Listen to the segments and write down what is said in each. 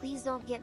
Please don't get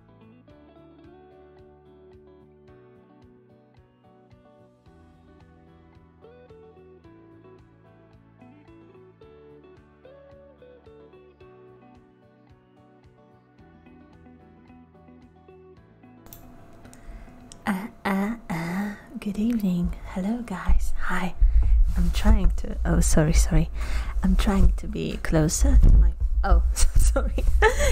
Uh, uh, uh. Good evening. Hello, guys. Hi. I'm trying to. Oh, sorry, sorry. I'm trying to be closer Oh, sorry.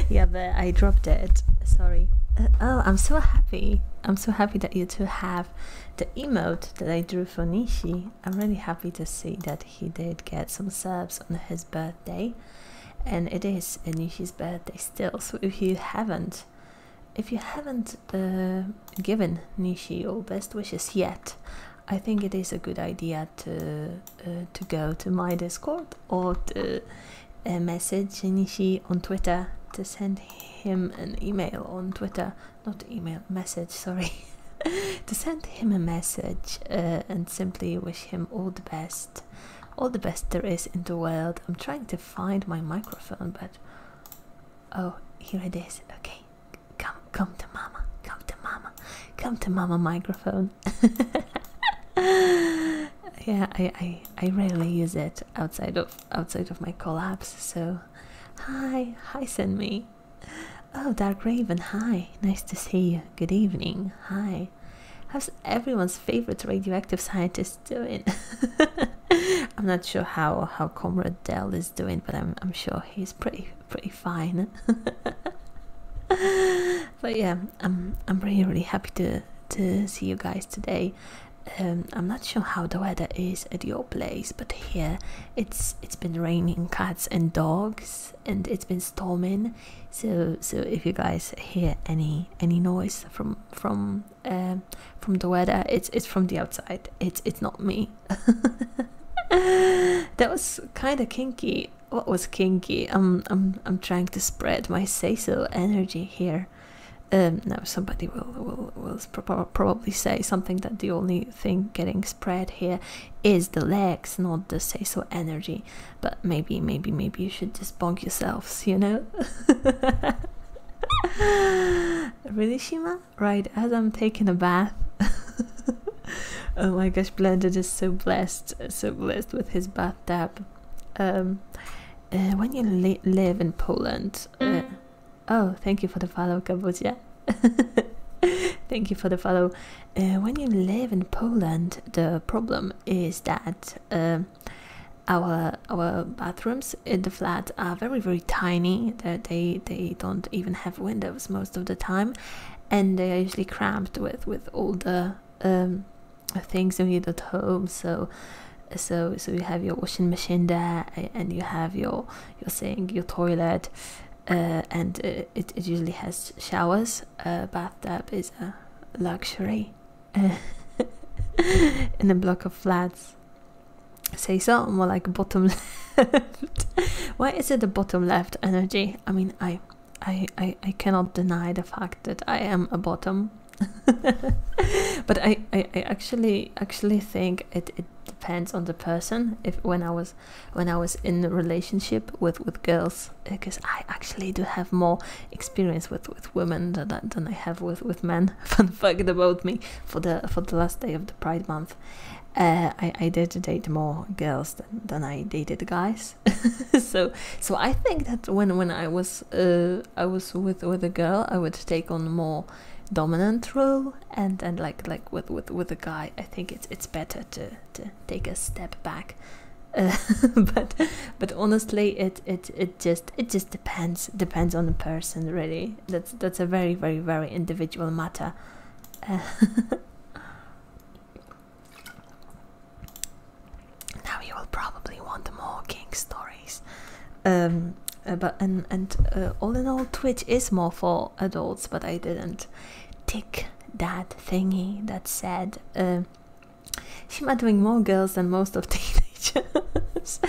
yeah, but I dropped it. Sorry. Uh, oh, I'm so happy. I'm so happy that you two have the emote that I drew for Nishi. I'm really happy to see that he did get some subs on his birthday. And it is Nishi's birthday still, so if you haven't, if you haven't uh, given Nishi your best wishes yet, I think it is a good idea to uh, to go to my Discord or to uh, message Shinichi on Twitter to send him an email on Twitter, not email message, sorry, to send him a message uh, and simply wish him all the best, all the best there is in the world. I'm trying to find my microphone, but oh, here it is. Okay, Come, come to mama, come to mama, come to mama microphone. yeah, I, I I rarely use it outside of outside of my collabs. So, hi, hi, send me. Oh, Dark Raven, hi. Nice to see you. Good evening. Hi. How's everyone's favorite radioactive scientist doing? I'm not sure how how Comrade Dell is doing, but I'm I'm sure he's pretty pretty fine. but yeah, I'm I'm really really happy to to see you guys today. Um, I'm not sure how the weather is at your place, but here it's it's been raining cats and dogs, and it's been storming. So so if you guys hear any any noise from from um, from the weather, it's it's from the outside. It's it's not me. that was kind of kinky what was kinky? I'm I'm I'm trying to spread my say so energy here. Um, now somebody will will will probably say something that the only thing getting spread here is the legs, not the say so energy. But maybe maybe maybe you should just bonk yourselves, you know. really, Shima? Right as I'm taking a bath. oh my gosh, Blended is so blessed, so blessed with his bathtub. Um, uh, when you live in Poland, uh, mm. oh, thank you for the follow, Kabuja. thank you for the follow. Uh, when you live in Poland, the problem is that um, our our bathrooms in the flat are very very tiny. They they don't even have windows most of the time, and they are usually cramped with with all the um, things you need at home. So so so you have your washing machine there, and you have your your sink, your toilet, uh, and uh, it, it usually has showers. A bathtub is a luxury in a block of flats. Say so, more like bottom left. Why is it the bottom left energy? I mean, I I, I, I cannot deny the fact that I am a bottom. but I, I, actually actually think it, it depends on the person. If when I was when I was in a relationship with, with girls, because I actually do have more experience with, with women than, than I have with, with men. Fun fact about me for the for the last day of the Pride Month, uh, I, I did date more girls than, than I dated guys, so so I think that when when I was uh, I was with with a girl, I would take on more dominant role, and and like like with with with a guy, I think it's it's better to to take a step back. but but honestly, it it it just it just depends depends on the person really. That's that's a very very very individual matter. Now you will probably want more king stories. Um, uh, but and and uh, all in all, Twitch is more for adults. But I didn't tick that thingy that said uh, she might doing more girls than most of teenagers.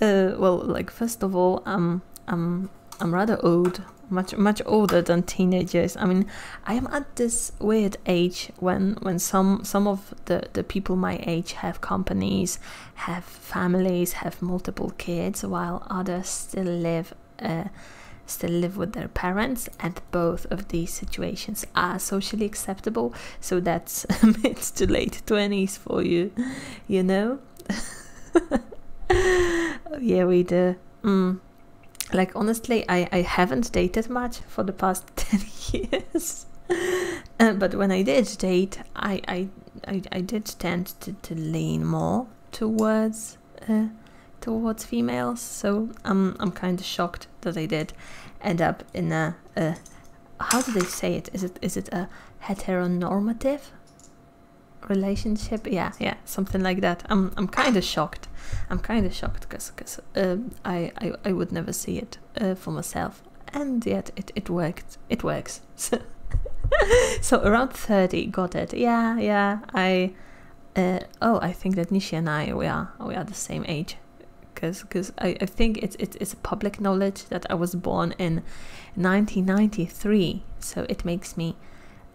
well, like first of all, I'm I'm I'm rather old much much older than teenagers. I mean, I am at this weird age when when some some of the the people my age have companies, have families, have multiple kids, while others still live. Uh, still live with their parents and both of these situations are socially acceptable so that's mid to late 20s for you you know yeah we do Mm. like honestly, I, I haven't dated much for the past 10 years. Uh, but when I did date, I, I, I, did tend to, to lean more towards uh, towards females. So I'm I'm kind of shocked that I did end up in a, a how do they say it? Is it is it a heteronormative relationship yeah yeah something like that i'm i'm kind of shocked i'm kind of shocked because because uh, um, I, I i would never see it uh, for myself and yet it it worked it works so, so around 30 got it yeah yeah i uh, oh i think that nishi and i we are we are the same age because because I, I think it's, it's it's public knowledge that i was born in 1993 so it makes me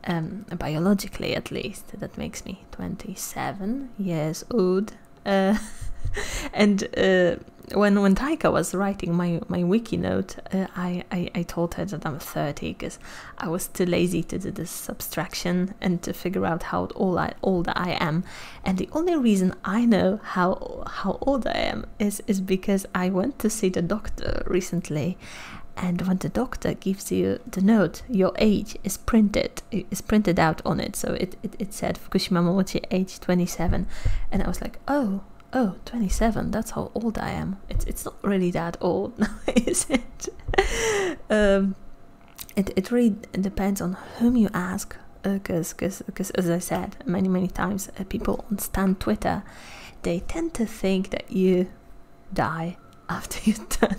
um, biologically at least. That makes me 27 years old. Uh, and uh, when when Taika was writing my my wiki note, uh, I, I, I told her that I'm 30 because I was too lazy to do this subtraction and to figure out how old I old I am. And the only reason I know how how old I am is is because I went to see the doctor recently and when the doctor gives you the note, your age is printed is printed out on it. So it, it, said Fukushima Momochi, age 27. And I was like, oh, oh, 27, that's how old I am. It's, it's not really that old now, is it? um, it, it really depends on whom you ask. Because, uh, because, as I said many, many times, uh, people on Stan Twitter, they tend to think that you die after you turn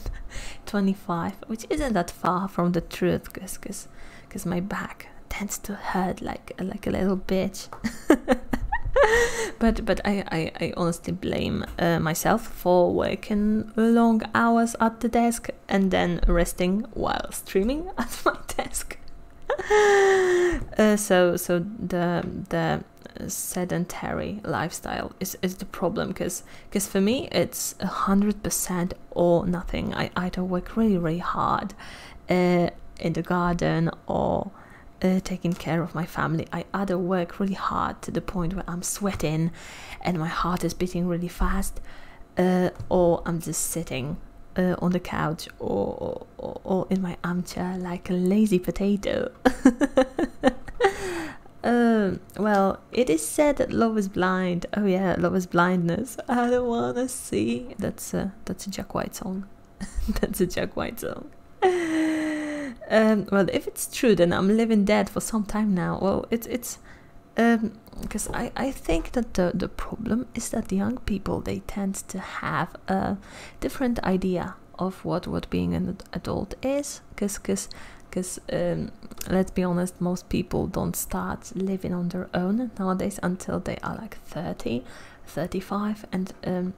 25 which isn't that far from the truth because cause, my back tends to hurt like like a little bitch but but I, I, honestly blame uh, myself for working long hours at the desk and then resting while streaming at my desk uh, so so the the sedentary lifestyle is, is the problem because because for me it's a hundred percent or nothing I either work really really hard uh, in the garden or uh, taking care of my family I either work really hard to the point where I'm sweating and my heart is beating really fast uh, or I'm just sitting on the couch or, or in my armchair like a lazy potato um, well, it is said that love is blind. Oh yeah, love is blindness. I don't wanna see. That's a that's a Jack White song. that's a Jack White song. Um, well, if it's true, then I'm living dead for some time now. Well, it, it's it's because um, I I think that the the problem is that young people they tend to have a different idea of what what being an adult is because because because um, let's be honest most people don't start living on their own nowadays until they are like 30 35 and um,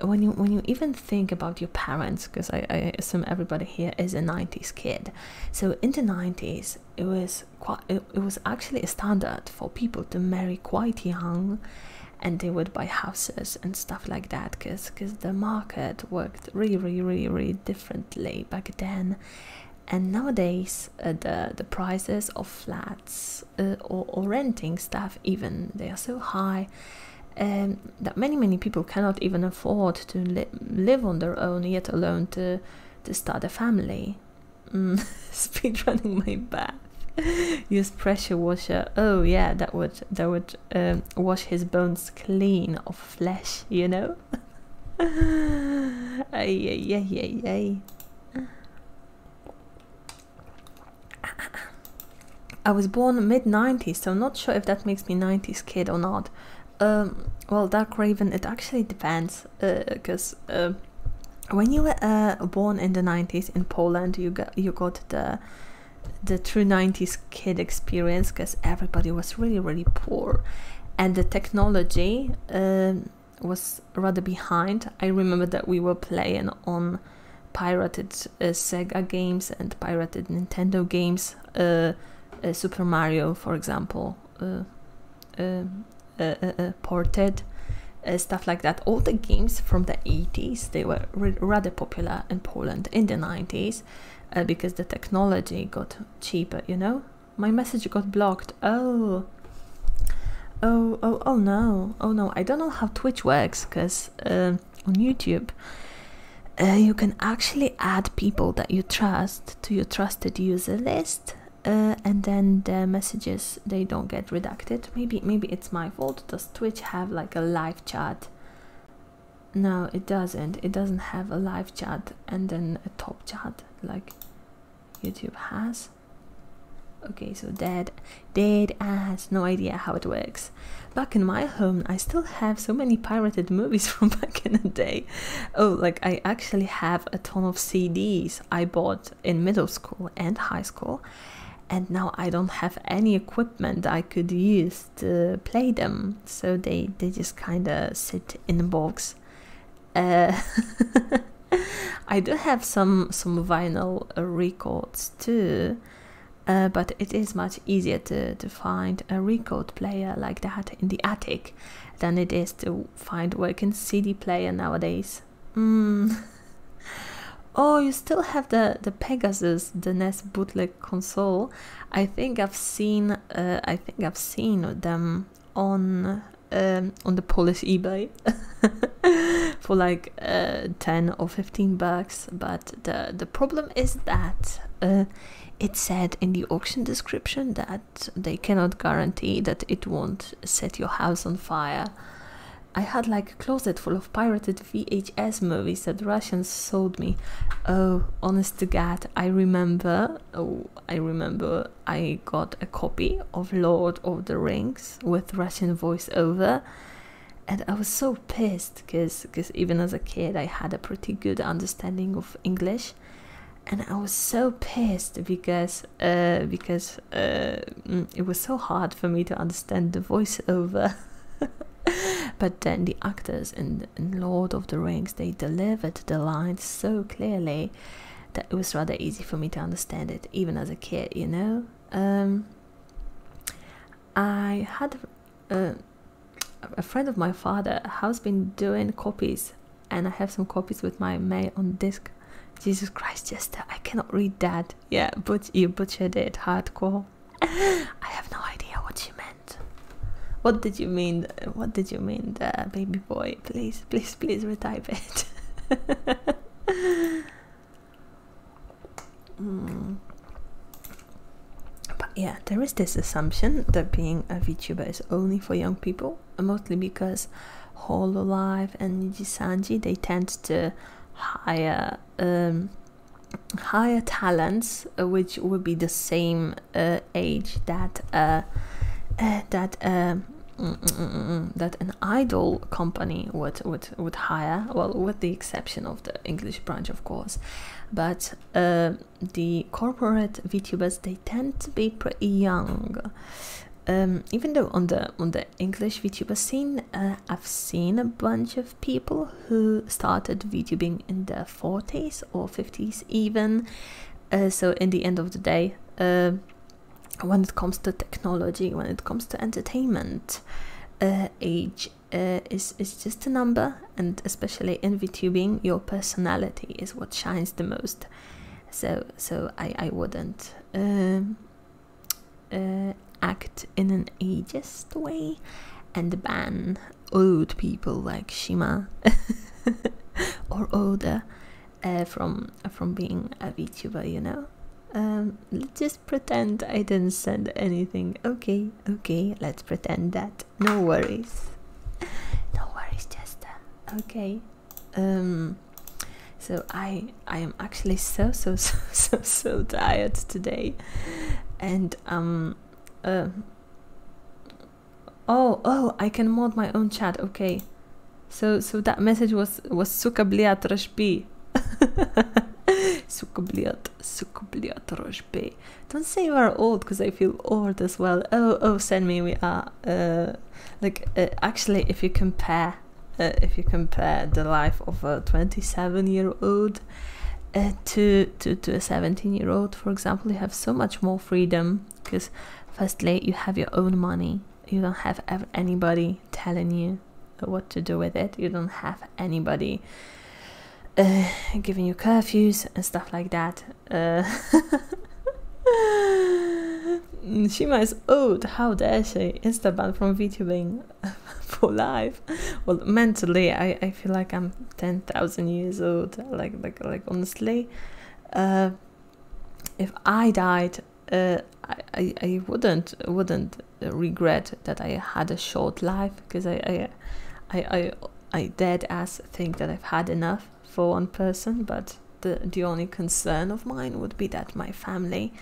when you when you even think about your parents because I, I assume everybody here is a 90s kid so in the 90s it was quite it, it was actually a standard for people to marry quite young and they would buy houses and stuff like that because the market worked really really really differently back then and nowadays uh, the the prices of flats uh, or, or renting stuff even they are so high um, that many many people cannot even afford to li live on their own yet alone to to start a family mm, speed running my bath use pressure washer oh yeah that would that would um, wash his bones clean of flesh, you know? ay, ay, ay, ay, I was born mid 90s, so I'm not sure if that makes me 90s kid or not. Um, well, Dark Raven, it actually depends, because uh, um, when you were uh, born in the 90s in Poland, you got you got the the true 90s kid experience because everybody was really really poor and the technology um, was rather behind i remember that we were playing on pirated uh, sega games and pirated nintendo games uh, uh, super mario for example ported stuff like that all the games from the 80s they were rather popular in Poland in the 90s uh, because the technology got cheaper, you know? My message got blocked. Oh. Oh, oh, oh no. Oh no. I don't know how Twitch works because um, on YouTube uh, you can actually add people that you trust to your trusted user list. Uh, and then the messages they don't get redacted. Maybe maybe it's my fault. Does Twitch have like a live chat no, it doesn't. It doesn't have a live chat and then a top chat like YouTube has. Okay, so dead, dead I ass, no idea how it works. Back in my home, I still have so many pirated movies from back in the day. Oh, like I actually have a ton of CDs I bought in middle school and high school, and now I don't have any equipment I could use just uh, play them, so they they just kind of sit in a box. Uh, I do have some some vinyl uh, records too, but it is much easier to to find a record player like that in the attic than it is to find working CD player nowadays. Hmm. Oh, you still have the, the Pegasus, the NES bootleg console. I think I've seen uh, I think I've seen them on um, on the Polish eBay for like uh, 10 or 15 bucks. But the, the problem is that uh, it said in the auction description that they cannot guarantee that it won't set your house on fire. I had like a closet full of pirated VHS movies that Russians sold me. Oh, honest to God, I remember. Oh, I remember I got a copy of Lord of the Rings with Russian voiceover, and I was so pissed because because even as a kid I had a pretty good understanding of English, and I was so pissed because uh, because uh, mm, it was so hard for me to understand the voiceover. but then the actors in, Lord of the Rings they delivered the lines so clearly that it was rather easy for me to understand it, even as a kid, you know. Um, I had uh, a friend of my father has been doing copies, and I have some copies with my mail on disc. Jesus Christ, Jester, I cannot read that. Yeah, but you butchered it hardcore. I have no idea what you meant. What did you mean? What did you mean, baby boy? Please, please, please retype it. Hmm. But yeah, there is this assumption that being a VTuber is only for young people, mostly because Hololive and Niji Sanji they tend to hire um, higher talents, uh, which would be the same uh, age that uh, that mm, mm, mm, that an idol company would would would hire. Well, with the exception of the English branch, of course. But the corporate VTubers they tend to be pretty young. Um, even though on the on the English VTuber scene, I've seen a bunch of people who started VTubing in their 40s or 50s even. Uh, so in the end of the day, uh, when it comes to technology, when it comes to entertainment, uh, age is, is just a number and especially in VTubing, your personality is what shines the most. So, so I, I wouldn't um, uh, act in an ageist way and ban old people like Shima or Oda uh, from uh, from being a VTuber, you know. Um, let's just pretend I didn't send anything. Okay, okay, let's pretend that. No worries. No worries, Chester. Okay. Um, so I I am actually so so so so so tired today and um uh, oh oh i can mod my own chat okay so so that message was was sukabliat bliat sukabliat sukabliat bliat don't say you are old because i feel old as well oh oh send me we are uh like uh, actually if you compare uh, if you compare the life of a 27 year old uh, to, to, to a 17 year old, for example, you have so much more freedom because, firstly, you have your own money, you don't have anybody telling you what to do with it, you don't have anybody uh, giving you curfews and stuff like that. Uh, she might, oh, how dare she? Instaban from VTubing. for life well mentally i i feel like i'm 10,000 years old like like like honestly uh, if i died uh, i i wouldn't wouldn't regret that i had a short life because i i i i, dead ass think that i've had enough for one person but the, the only concern of mine would be that my family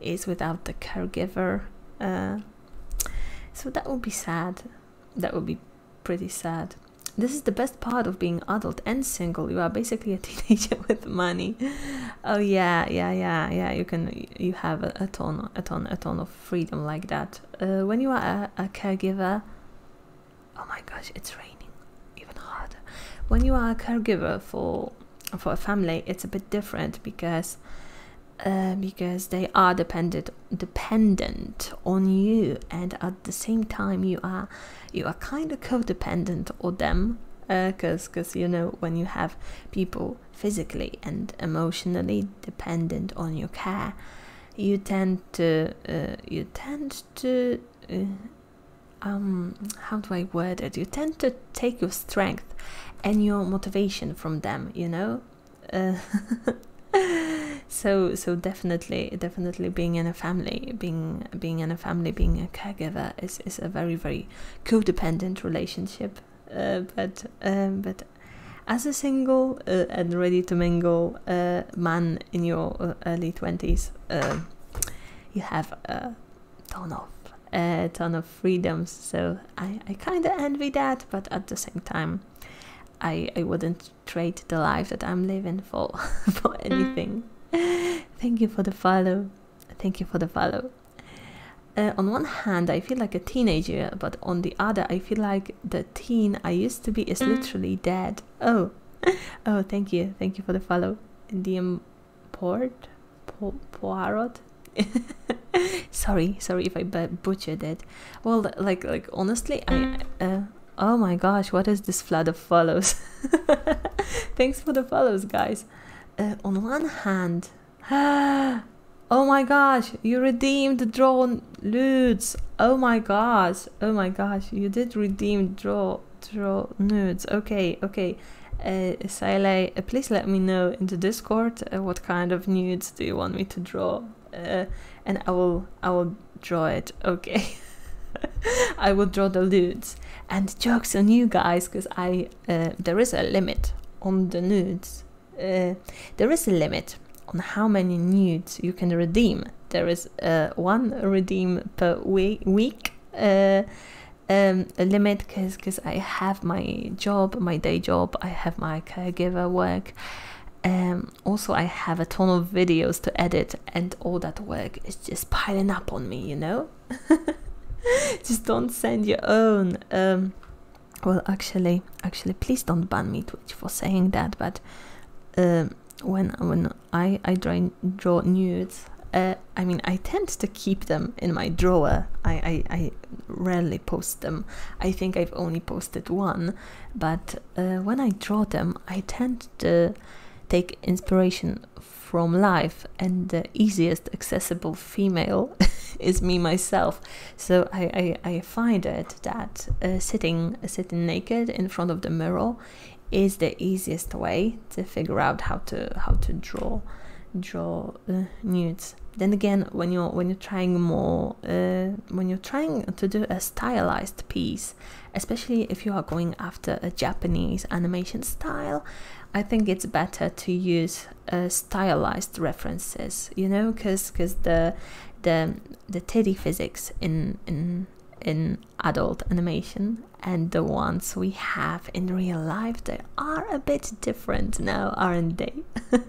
is without the caregiver uh, so that would be sad. That would be pretty sad. This is the best part of being adult and single. You are basically a teenager with money. Oh yeah, yeah, yeah, yeah. You can you have a, ton, a ton, a ton of freedom like that. Uh, when you are a, a caregiver, oh my gosh, it's raining even harder. When you are a caregiver for for a family, it's a bit different because uh, because they are dependent dependent on you and at the same time you are you are kind of codependent on them because uh, because you know when you have people physically and emotionally dependent on your care you tend to uh, you tend to um how do i word it you tend to take your strength and your motivation from them you know so so definitely definitely being in a family being being in a family being a caregiver is, is a very very codependent relationship uh, but um, but as a single uh, and ready to mingle uh, man in your early 20s you have a ton of a ton of freedoms. So I, I kind of envy that, but at the same time, I, I wouldn't trade the life that I'm living for for mm. anything. Thank you for the follow. Thank you for the follow. Uh, on one hand, I feel like a teenager, but on the other, I feel like the teen I used to be is mm. literally dead. Oh, oh, thank you, thank you for the follow. The port, po Poirot, sorry, sorry if I butchered it. Well, like, like honestly, I. Uh, oh my gosh, what is this flood of follows? Thanks for the follows, guys. Uh, on one hand, oh my gosh, you redeemed drawn nudes. Oh my gosh, oh my gosh, you did redeem draw draw nudes. Okay, okay. Uh, uh please let me know in the Discord what kind of nudes do you want me to draw? Uh, and I will I will draw it. Okay. I will draw the nudes. And jokes on you guys, because I uh, there is a limit on the nudes. Uh, there is a limit on how many nudes you can redeem. There is one redeem per week uh, um, limit because I have my job, my day job, I have my caregiver work. and um, also, I have a ton of videos to edit, and all that work is just piling up on me, you know? just don't send your own. Um, well, actually, actually, please don't ban me, Twitch, for saying that. But um, when when I I draw, nudes, uh, I mean, I tend to keep them in my drawer. I, I rarely post them. I think I've only posted one, but uh, when I draw them, I tend to take inspiration from life, and the easiest accessible female is me myself. So I, I, find it that uh, sitting sitting naked in front of the mirror is the easiest way to figure out how to how to draw draw uh, nudes then again when you're when you're trying more uh, when you're trying to do a stylized piece especially if you are going after a japanese animation style i think it's better to use uh, stylized references you know because because the the the teddy physics in in in adult animation and the ones we have in real life they are a bit different Friends now, aren't they?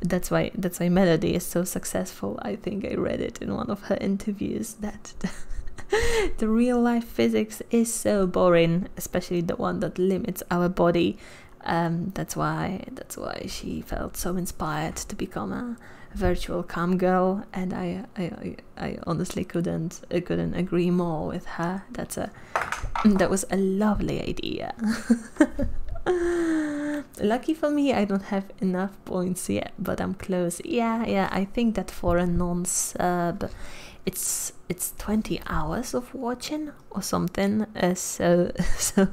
that's why that's why Melody is so successful. I think I read it in one of her interviews that the real life physics is so boring, especially the one that limits our body. Um, that's why that's why she felt so inspired to become a virtual come girl, and I I, I honestly couldn't couldn't agree more with her. That's a Mm, that was a lovely idea. Lucky for me, I don't have enough points yet, but I'm close. Yeah, yeah. I think that for a non-sub, it's it's 20 hours of watching or something. Uh, so so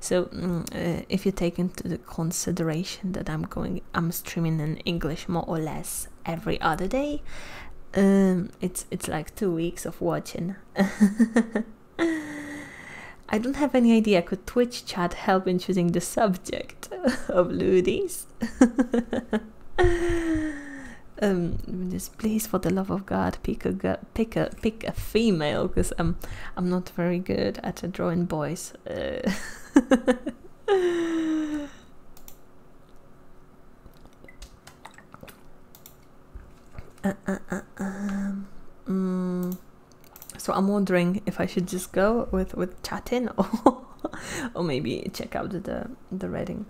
so mm, uh, if you take into the consideration that I'm going, I'm streaming in English more or less every other day. Um, it's it's like two weeks of watching. I don't have any idea. Could Twitch chat help in choosing the subject of Ludis? um, just please, for the love of God, pick a girl, pick a pick a female, because I'm I'm not very good at drawing boys. Uh, Uh, uh, uh, um, mm. So I'm wondering if I should just go with with chatting or or maybe check out the the rating.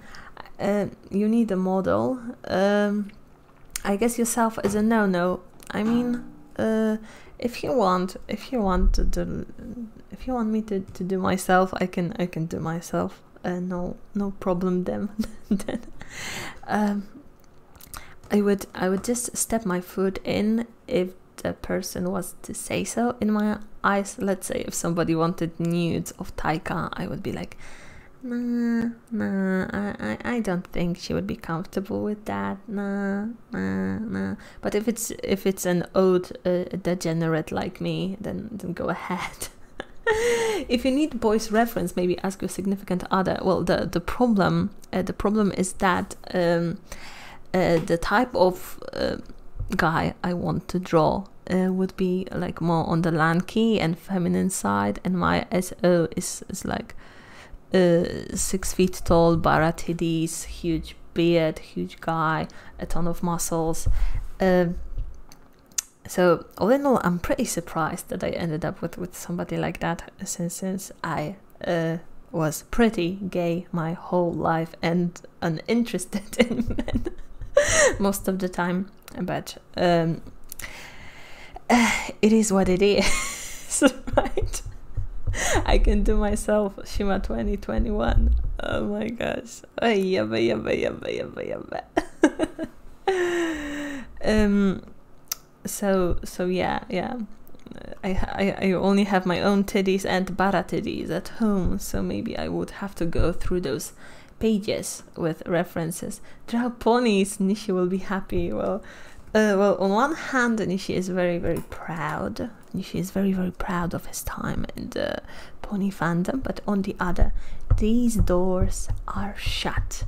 you need a model. Um, I guess yourself is a no no. I mean, if you want, if you want to do, if you want me to, to do myself, I can I can do myself. Uh, no no problem then then um, I would I would just step my foot in if the person was to say so in my eyes let's say if somebody wanted nudes of Taika I would be like nah nah I, I, I don't think she would be comfortable with that nah nah nah but if it's if it's an old uh, degenerate like me then then go ahead if you need boys reference, maybe ask your significant other. Well, the the problem uh, the problem is that um, uh, the type of uh, guy I want to draw would be like more on the lanky and feminine side, and my SO is is like six feet tall, baratidis, huge beard, huge guy, a ton of muscles. Um, so all in all, I'm pretty surprised that I ended up with with somebody like that, since since I uh, was pretty gay my whole life and uninterested in men most of the time. But um, it is what it is, right? I can do myself Shima 2021. Oh my gosh. Yabba, yabba, yabba, yabba, yabba. um, so so yeah yeah. I, I, I only have my own titties and bara titties at home, so maybe I would have to go through those pages with references. Draw ponies, Nishi will be happy. Well, uh, well, on one hand, Nishi is very, very proud. Nishi is very, very proud of his time in the pony fandom, but on the other, these doors are shut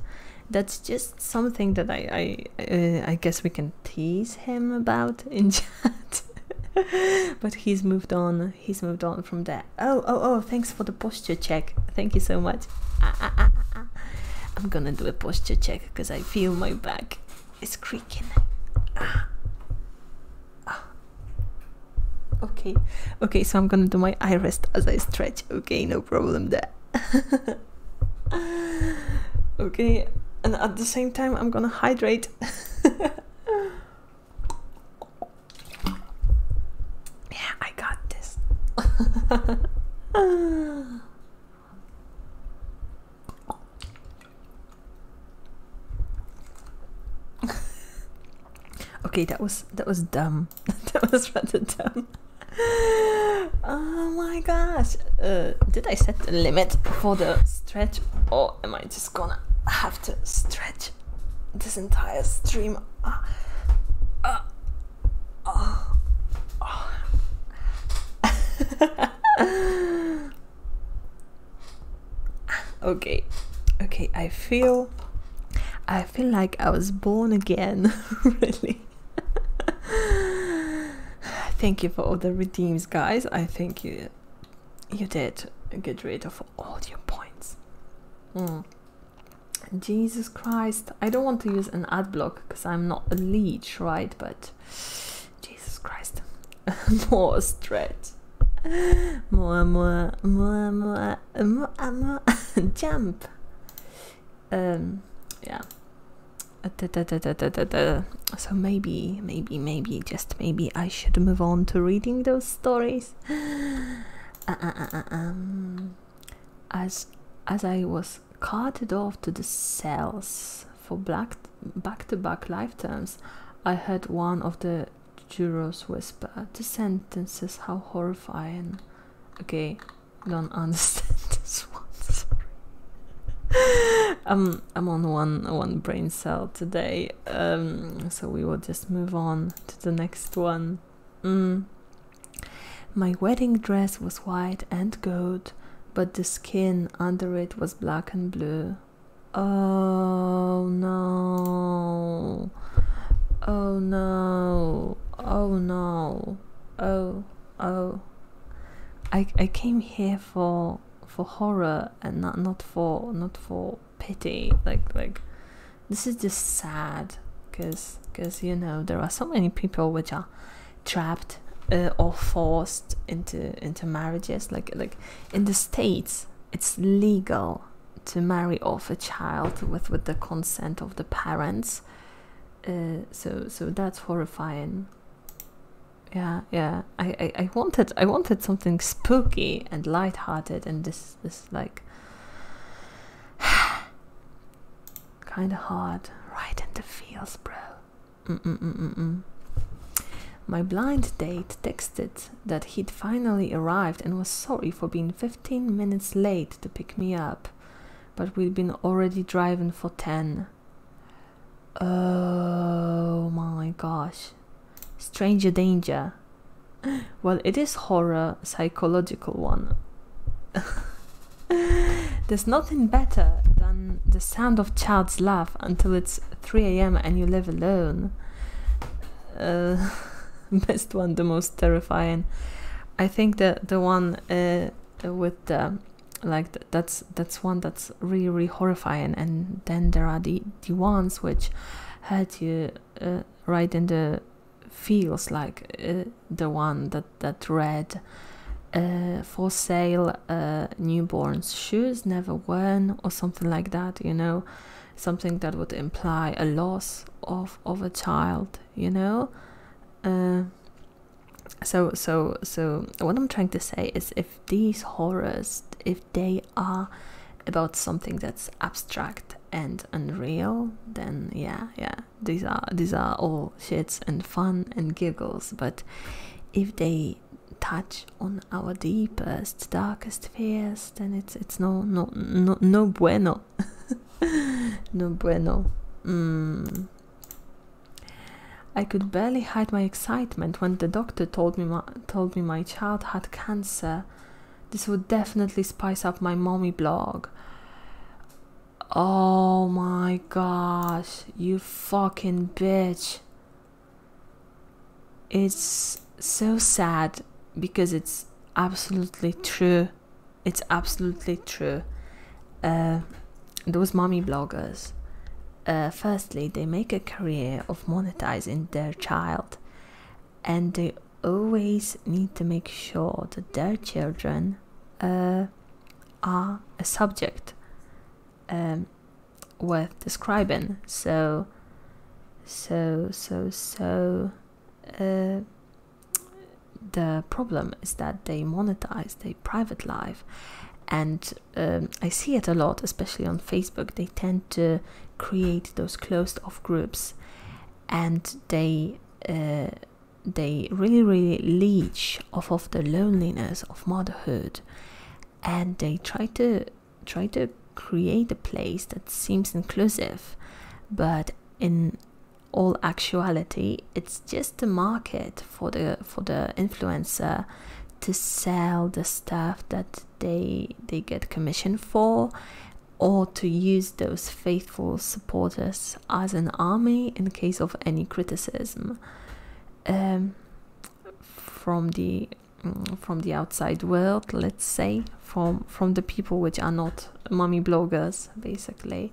that's just something that I I, uh, I guess we can tease him about in chat. but he's moved on. He's moved on from there. Oh oh oh! Thanks for the posture check. Thank you so much. Ah, ah, ah, I'm gonna do a posture check because I feel my back is creaking. Okay, okay. So I'm gonna do my eye rest as I stretch. Okay, no no problem there. okay, and at the same time, I'm gonna hydrate. yeah, I got this. okay, that was that was dumb. that was rather dumb. Oh my gosh! Uh, did I set the limit for the stretch, or am I just gonna have to stretch this entire stream? Uh, uh, oh. okay, okay. I feel, I feel like I was born again, really. thank you for all the redeems, guys. I think you you did get rid of all your points. Mm. Jesus Christ, I don't want to use an ad block because I'm not a leech, right? But Jesus Christ, more stretch. More, more, more, more, more, more, jump. Um, yeah. Uh, so maybe, maybe, maybe, just maybe I should move on to reading those stories. Uh, uh, um, as as I was carted off to the cells for black back-to-back -back life terms, I heard one of the jurors whisper the sentences. How horrifying! Okay, don't understand this one. Sorry. um, I'm on one one brain cell today, um, so we will just move on to the next one. Mm. My wedding dress was white and gold, but the skin under it was black and blue. Oh no! Oh no! Oh no. Oh, oh. I I came here for for horror and not not for not for pity. Like like this is just sad because because you know there are so many people which are trapped uh, or forced into into marriages like like in the states it's legal to marry off a child with with the consent of the parents uh, so so that's horrifying yeah yeah I, I i wanted i wanted something spooky and light-hearted and this this like kind of hard right in the feels bro mm, mm -mm -mm -mm. My blind date texted that he'd finally arrived and was sorry for being 15 minutes late to pick me up but we've been already driving for 10. Oh my gosh. Stranger danger. Well, it is horror, psychological one. There's nothing better than the sound of child's laugh until it's 3 a.m. and you live alone. Uh, best one, the most terrifying. I think that the one uh, with the like that's that's one that's really really horrifying and then there are the the ones which had you uh, right in the feels like uh, the one that that read for sale newborn shoes never worn or something like that you know something that would imply a loss of of a child you know uh, so so so what i'm trying to say is if these horrors if they are about something that's abstract and unreal then yeah yeah these are these are all shits and fun and giggles but if they touch on our deepest darkest fears then it's it's no no no bueno no bueno. Hmm. I could barely hide my excitement when the doctor told me my child had cancer. This would definitely spice up my mommy blog. Oh my gosh, you fucking bitch. It's so sad because it's absolutely true it's absolutely true. Uh, those mommy bloggers, uh, firstly, they make a career of monetizing their child, and they always need to make sure that their children uh, are a subject um, worth describing. So, so, so, so, the problem is that they monetize their private life and um, i see it a lot especially on facebook they tend to create those closed off groups and they uh, they really really leech off of the loneliness of motherhood and they try to try to create a place that seems inclusive but in all actuality it's just a market for the for the influencer to sell the stuff that they they get commission for or to use those faithful supporters as an army in case of any criticism um, from the mm, from the outside world let's say from from the people which are not mommy bloggers basically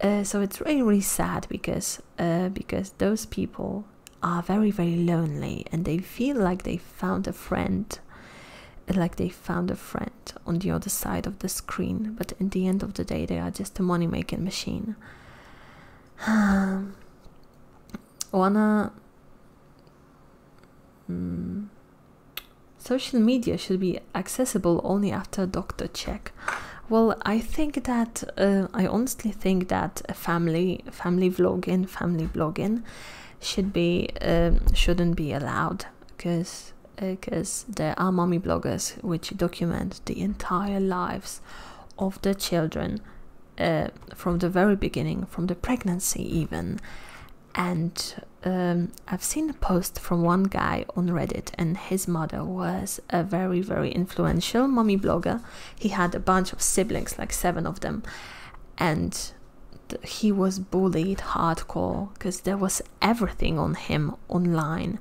uh, so it's really really sad because uh, because those people are very very lonely and they feel like they found a friend like they found a friend on the other side of the screen but in the end of the day they are just a money making machine Oana um, mm, social media should be accessible only after doctor check well i think that uh, i honestly think that family family vlogging family blogging should be um, shouldn't be allowed because because uh, there are mommy bloggers which document the entire lives of the children uh, from the very beginning from the pregnancy even and um, I've seen a post from one guy on Reddit, and his mother was a very, very influential mommy blogger. He had a bunch of siblings, like seven of them, and he was bullied hardcore because there was everything on him online.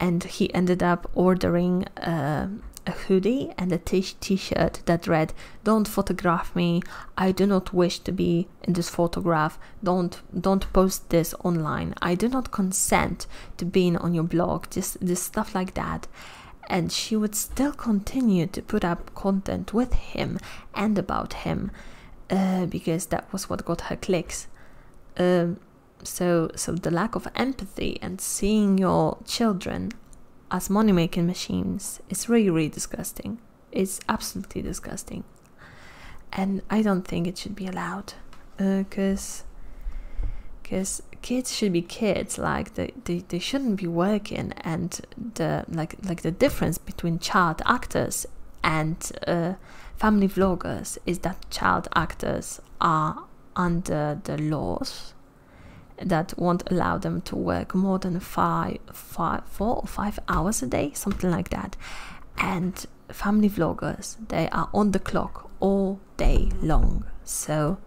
And he ended up ordering um, a hoodie and a t shirt that read, Don't photograph me, I do not wish to be in this photograph. Don't don't post this online. I do not consent to being on your blog. Just this stuff like that. And she would still continue to put up content with him and about him, uh, because that was what got her clicks. Um, so so the lack of empathy and seeing your children as money making machines is really really disgusting. It's absolutely disgusting. And I don't think it should be allowed. Because uh, kids should be kids. Like, they, they, they shouldn't be working. And the like like the difference between child actors and uh, family vloggers is that child actors are under the laws that won't allow them to work more than five five, four or five hours a day, something like that. And family vloggers, they are on the clock all day long. So,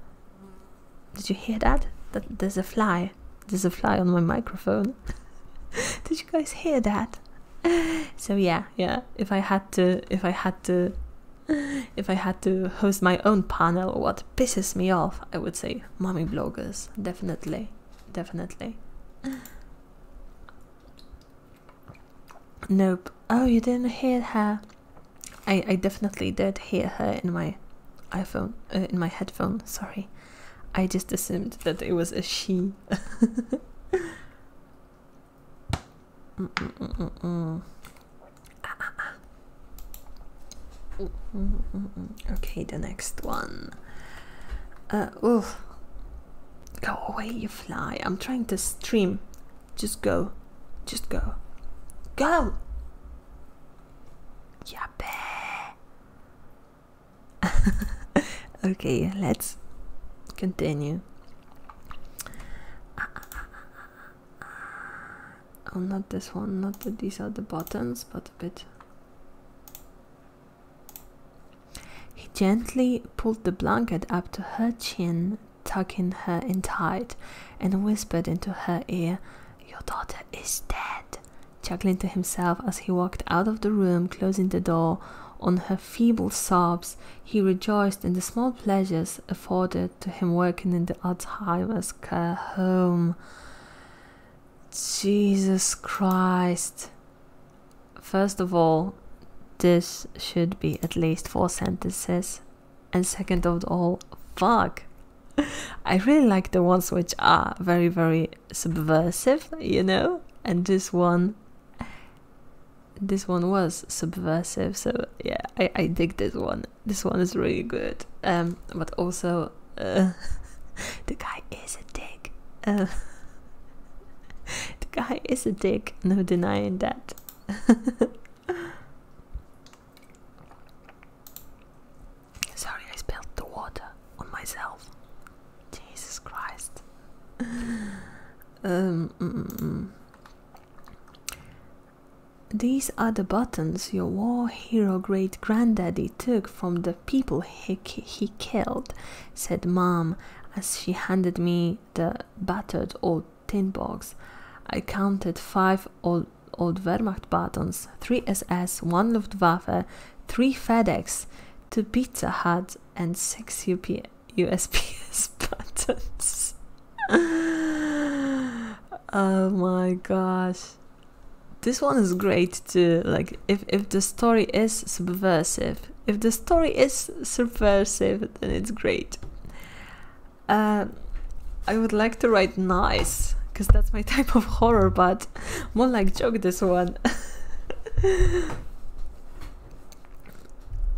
did you hear that? That there's a fly. There's a fly on my microphone. did you guys hear that? So yeah, yeah. If I had to, if I had to if I had to host my own panel, what pisses me off, I would say mommy bloggers. Definitely. Definitely. Nope. Oh, you didn't hear her. I, I definitely did hear her in my iPhone, uh, in my headphone, sorry. I just assumed that it was a she. Okay, the next one. Uh, oof. Go away, you fly. I'm trying to stream. Just go. Just go. Go! Yappe! okay, let's continue. Oh, not this one, not that these are the buttons, but a bit he gently pulled the blanket up to her chin, tucking her in tight, and whispered into her ear, Your daughter is dead, chuckling to himself as he walked out of the room, closing the door on her feeble sobs, he rejoiced in the small pleasures afforded to him working in the Alzheimer's care home. Jesus Christ, First of all, this should be at least four sentences. And second of all, fuck. I really like the ones which are very, very subversive, you know? And this one, this one was subversive, so yeah, I, dig this one. This one is really good. Um, but also, uh, the guy is a dick. Uh, the guy is a dick, no denying that. Sorry, I spilled the water on myself. Jesus Christ. Um, mm, mm, mm. These are the buttons your war hero great granddaddy took from the people he, he killed, said Mom as she handed me the battered old tin box. I counted five old, old Wehrmacht buttons, three SS, one Luftwaffe, three FedEx, two Pizza Hut, and six UP USPS buttons. oh my gosh. This one is great too. Like if if the story is subversive, if the story is subversive, then it's great. Uh, I would like to write nice, because that's my type of horror, but more like joke this one.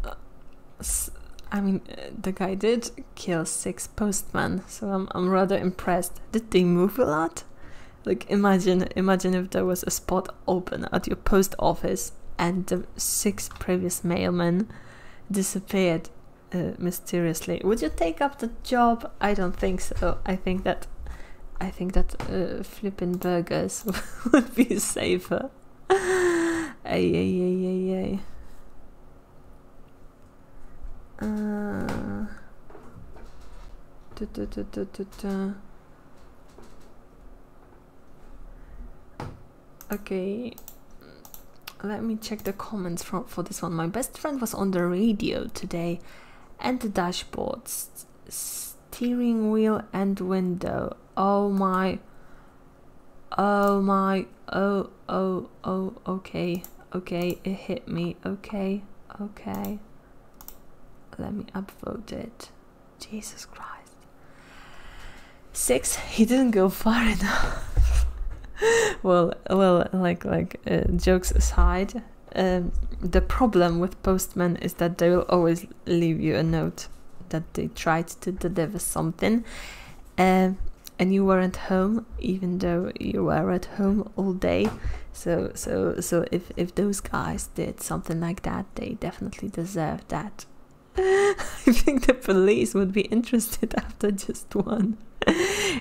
Uh, I mean, uh, the guy did kill six postmen, so I'm rather impressed. Did they move a lot? Like imagine imagine if there was a spot open at your post office and the six previous mailmen disappeared uh, mysteriously. Would you take up the job? I don't think so. I think that I think that uh, flipping burgers would be safer. ay ay ay ay ay. Uh, da, da, da, Okay, let me check the comments for, for this one. My best friend was on the radio today and the dashboard, steering wheel and window. Oh my, oh my, oh, oh, oh, okay, okay, it hit me, okay, okay. Let me upvote it. Jesus Christ. Six, he didn't go far enough. well, well, like, like uh, jokes aside, um, the problem with postmen is that they will always leave you a note that they tried to deliver something, uh, and you weren't home, even though you were at home all day. So, so, so if if those guys did something like that they definitely deserve that. I think the police would be interested after just one.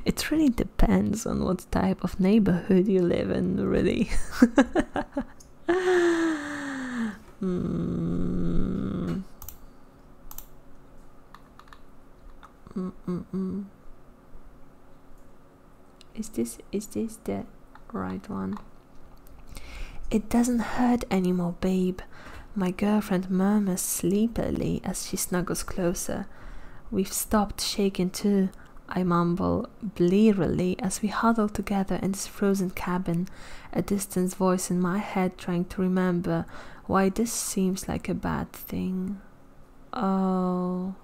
It really depends on what type of neighborhood you live in, really. Hmm. Mm, mm, mm. Is this is this the right one? It doesn't hurt anymore, babe. My girlfriend murmurs sleepily as she snuggles closer. We've stopped shaking too, I mumble blearily as we huddle together in this frozen cabin, a distant voice in my head trying to remember why this seems like a bad thing. Oh.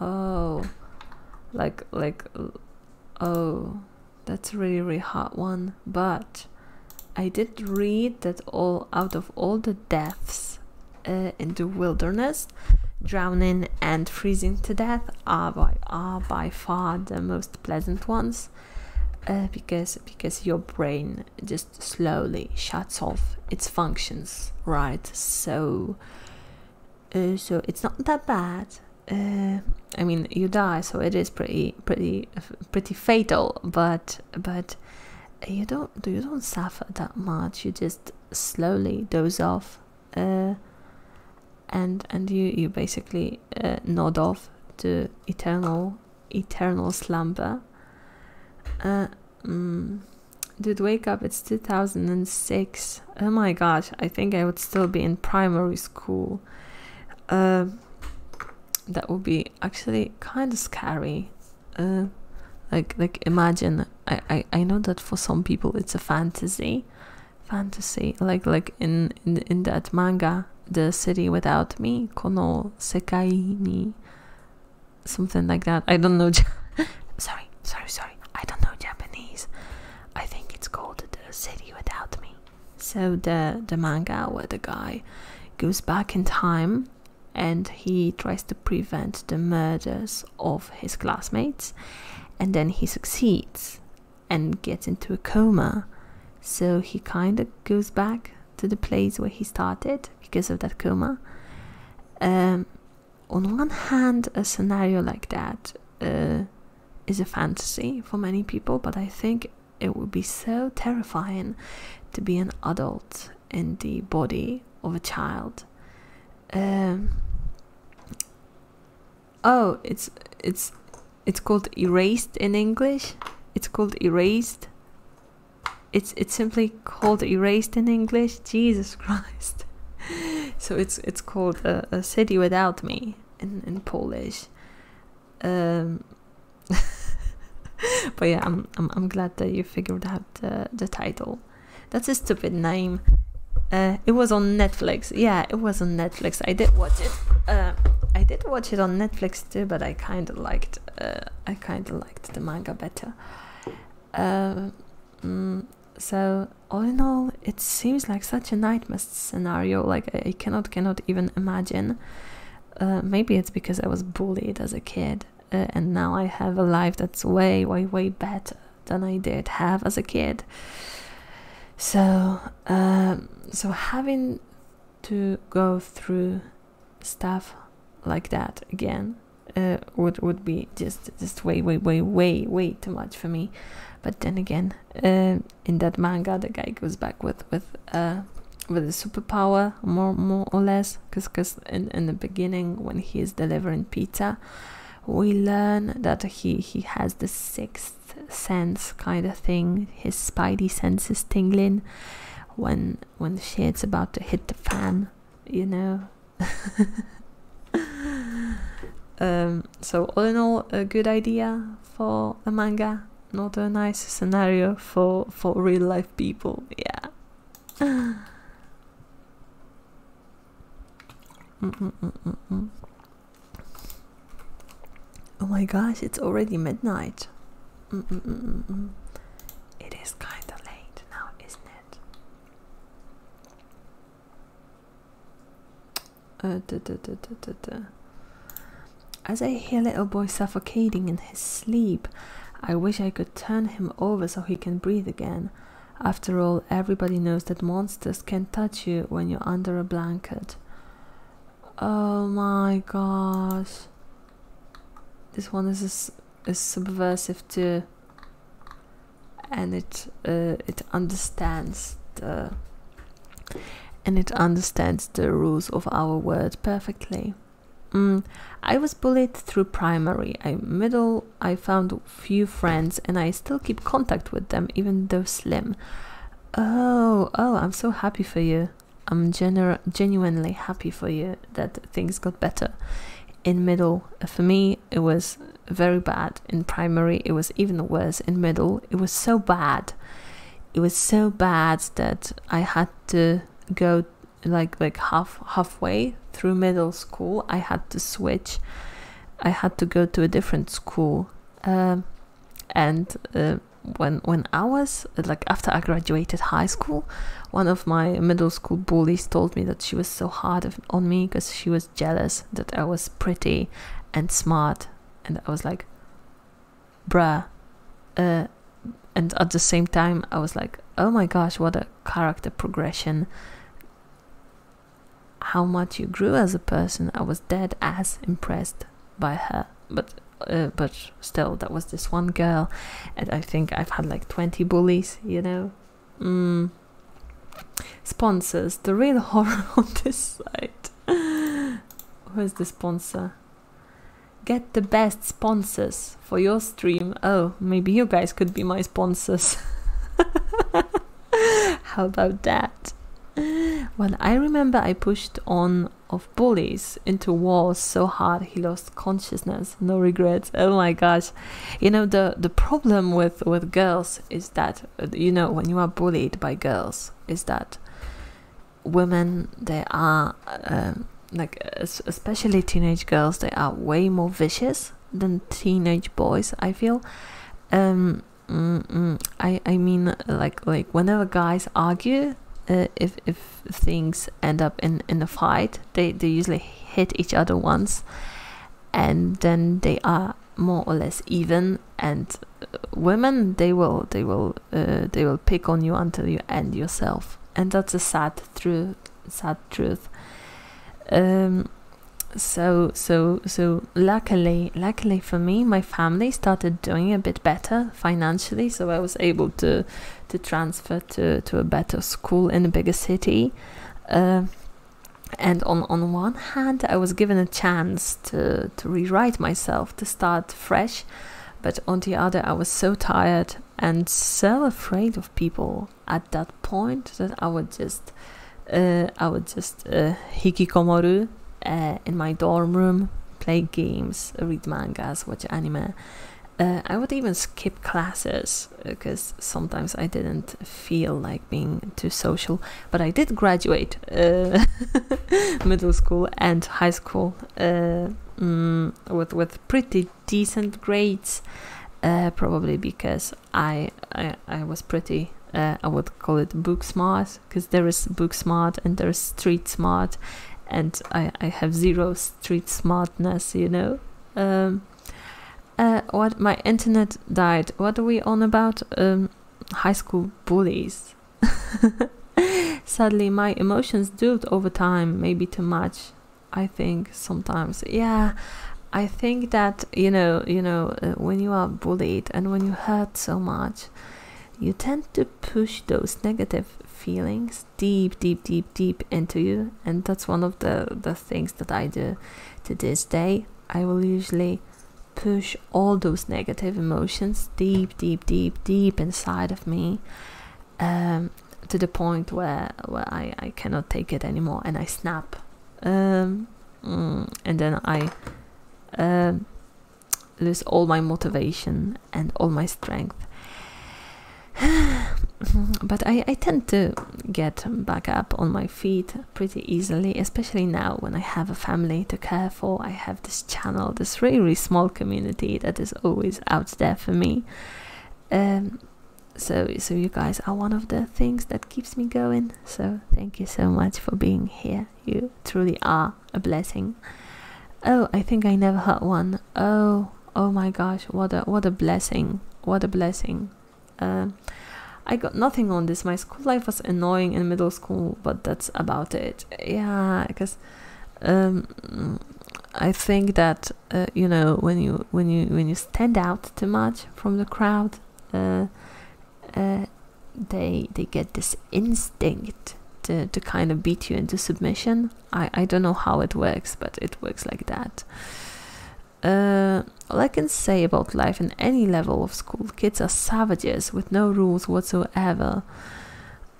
Oh, like, like, oh, that's a really, really hard one. But I did read that all out of all the deaths uh, in the wilderness, drowning and freezing to death are by are by far the most pleasant ones. Uh, because because your brain just slowly shuts off its functions right so uh, so it's not that bad. Uh, I mean, you die, so it is pretty, pretty, pretty fatal. But, but you don't, you don't suffer that much. You just slowly doze off, uh, and and you you basically nod off to eternal, eternal slumber. Mm. Dude, wake up, it's 2006. Oh my gosh, I think I would still be in primary school. Uh, that would be actually kind of scary. Uh, like, like imagine, I, I, I know that for some people it's a fantasy. Fantasy, like like in, in, that manga, The City Without Me, Kono Ni, something like that. I don't know. Sorry, sorry, sorry, I don't know Japanese. I think it's called The City Without Me. So the the manga where the guy goes back in time and he tries to prevent the murders of his classmates and then he succeeds and gets into a coma. So he kind of goes back to the place where he started because of that coma. Um, on one hand, a scenario like that uh, is a fantasy for many people, but I think it would be so terrifying to be an adult in the body of a child. Um, oh, it's it's it's called erased in English. It's called erased. It's it's simply called erased in English. Jesus Christ. so it's it's called a, city without me in, in Polish. Um, but yeah, I'm, I'm, I'm glad that you figured out the, the title. That's a stupid name. Uh, it was on Netflix. Yeah, it was on Netflix. I did watch it. Uh, I did watch it on Netflix too, but I kind of liked. Uh, I kind of liked the manga better. Mm, so all in all, it seems like such a nightmare scenario. Like I, cannot, cannot even imagine. Uh, maybe it's because I was bullied as a kid, uh, and now I have a life that's way, way, way better than I did have as a kid. So, um, so having to go through stuff like that again uh, would would be just just way way way way way too much for me but then again um, in that manga the guy goes back with with uh with a superpower more more or less because because in, in the beginning when he is delivering pizza we learn that he he has the sixth sense kind of thing his spidey senses tingling when when shit's about to hit the fan you know Um, so all in all, a good idea for a manga, not a nice scenario for for real life people. Yeah. Mm, mm, mm, oh my gosh, it's already midnight. It is kind of late now, isn't it? Uh, As I hear little boy suffocating in his sleep, I wish I could turn him over so he can breathe again. After all, everybody knows that monsters can touch you when you're under a blanket. Oh my gosh. This one is, is subversive too and it uh, it understands the and it understands the rules of our world perfectly. Mm, I was bullied through primary. I middle, I found few friends, and I still keep contact with them, even though slim. Oh, oh, I'm so happy for you. I'm genu genuinely happy for you that things got better. In middle, for me, it was very bad in primary, it was even worse in middle. It was so bad. It was so bad that I had to go like like half halfway through middle school. I had to switch. I had to go to a different school. Um, and uh, when when I was like after I graduated high school, one of my middle school bullies told me that she was so hard on me because she was jealous that I was pretty and smart. And I was like, bruh. Uh, and at the same time, I was like, oh my gosh, what a character progression. How much you grew as a person. I was dead as impressed by her. But uh, but still, that was this one girl. And I think I've had like 20 bullies, you know, Mm. Sponsors. The real horror on this site. Who is the sponsor? Get the best sponsors for your stream. Oh, maybe you guys could be my sponsors. How about that? Well, I remember I pushed on of bullies into walls so hard he lost consciousness. No regrets. Oh my gosh. You know the the problem with with girls is that you know when you are bullied by girls is that women they are um, like especially teenage girls they are way more vicious than teenage boys i feel um, i i mean like like whenever guys argue uh, if if things end up in in a fight they they usually hit each other once and then they are more or less even and uh, women they will they will uh, they will pick on you until you end yourself and that's a sad truth sad truth um, so so so luckily luckily for me my family started doing a bit better financially so i was able to to transfer to to a better school in a bigger city uh, and on, on one hand i was given a chance to, to rewrite myself to start fresh but on the other i was so tired and so afraid of people at that point that i would just uh, i would just uh, hikikomoru uh, in my dorm room play games read mangas watch anime uh, i would even skip classes because sometimes I didn't feel like being too social. But I did graduate uh, middle school and high school uh, mm, with with pretty decent grades, uh, probably because I I, I was pretty. I would call it book smart because there is book smart and there is street smart, and I, I have zero street smartness, you know. Um, uh, what my internet died. What are we on about? Um, high school bullies. Sadly, my emotions dulled over time, maybe too much. I think sometimes, yeah. I think that you know, you know, uh, when you are bullied and when you hurt so much, you tend to push those negative feelings deep, deep, deep, deep into you, and that's one of the the things that I do to this day. I will usually push all those negative emotions deep, deep, deep, deep inside of me um, to the point where, I, cannot take it anymore and I snap. Um, mm, and then I um, lose all my motivation and all my strength. but I tend to get back up on my feet pretty easily, especially now when I have a family to care for. I have this channel, this really small community that is always out there for me. Um, so, so you guys are one of the things that keeps me going. So thank you so much for being here. You truly are a blessing. Oh, I think I never heard one. Oh, oh my gosh, what a what a blessing! What a blessing! Uh, I got nothing on this. My school life was annoying in middle school, but that's about it. Yeah, because um, I think that uh, you know when you when you when you stand out too much from the crowd, uh, uh, they they get this instinct to, to kind of beat you into submission. I I don't know how it works, but it works like that. Uh, all I can say about life in any level of school, kids are savages with no rules whatsoever.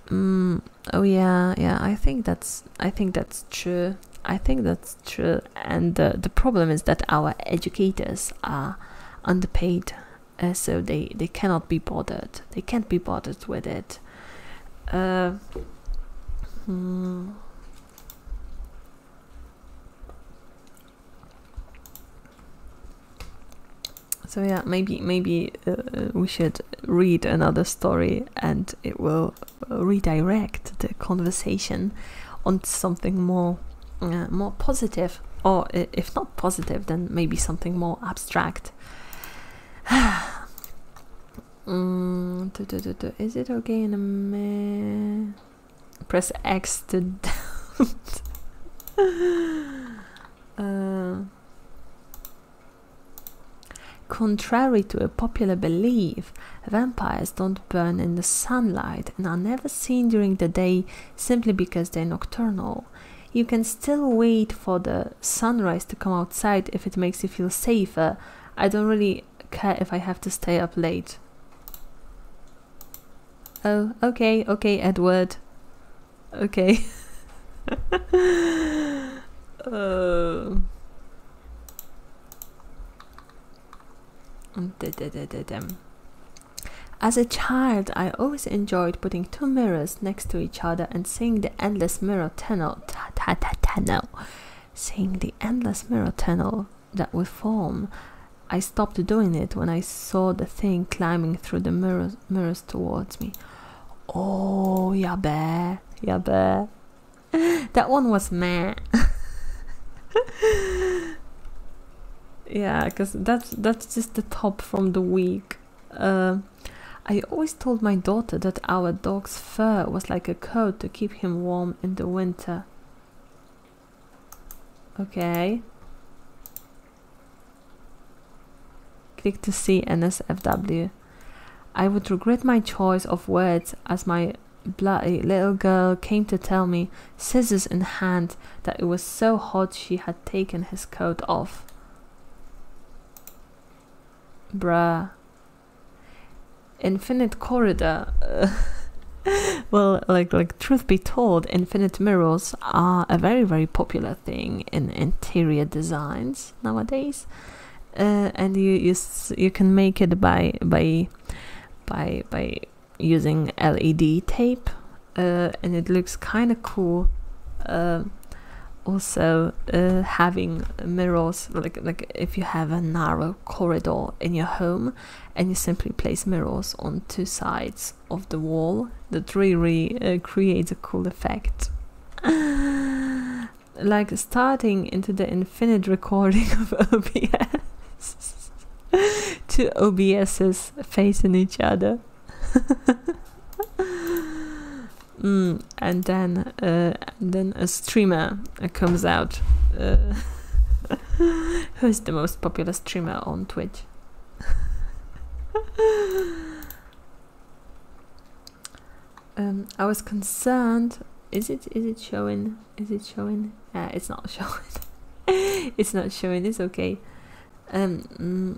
Mm, oh yeah, yeah. I think that's I think that's true. I think that's true. And the problem is that our educators are underpaid, uh, so they they cannot be bothered. They can't be bothered with it. Uh, hmm. So yeah, maybe maybe uh, uh, we should read another story and it will uh, redirect the conversation on something more more positive or if not positive then maybe something more abstract. Mm, is it okay in a minute? Press X to doubt. Uh, contrary to a popular belief, vampires don't burn in the sunlight and are never seen during the day simply because they're nocturnal. You can still wait for the sunrise to come outside if it makes you feel safer. I don't really care if I have to stay up late. Oh, okay, okay, Edward. Okay. uh, as a child, I always enjoyed putting two mirrors next to each other and seeing the endless mirror tunnel. Ta ta ta tunnel. Seeing the endless mirror tunnel that would form. I stopped doing it when I saw the thing climbing through the mirrors, mirrors towards me. Oh, yeah, bear, yeah, bear. That one was me. yeah, because that's that's just the top from the week. Uh, I always told my daughter that our dog's fur was like a coat to keep him warm in the winter. Okay. Click to see NSFW. I would regret my choice of words as my bloody little girl came to tell me, scissors in hand, that it was so hot she had taken his coat off. Bruh. Infinite corridor. Uh, well, like like truth be told, infinite mirrors are a very very popular thing in interior designs nowadays, uh, and you you you can make it by by by by using LED tape, uh, and it looks kind of cool. Uh, also, having mirrors like like if you have a narrow corridor in your home and you simply place mirrors on two sides of the wall that really uh, creates a cool effect. like starting into the infinite recording of OBS. two OBSs facing each other. Mm, and then uh, and then a streamer uh, comes out. Who is the most popular streamer on Twitch? Um, I was concerned. Is it? Is it showing? Is it showing? Uh, it's not showing. it's not showing. It's okay. Um,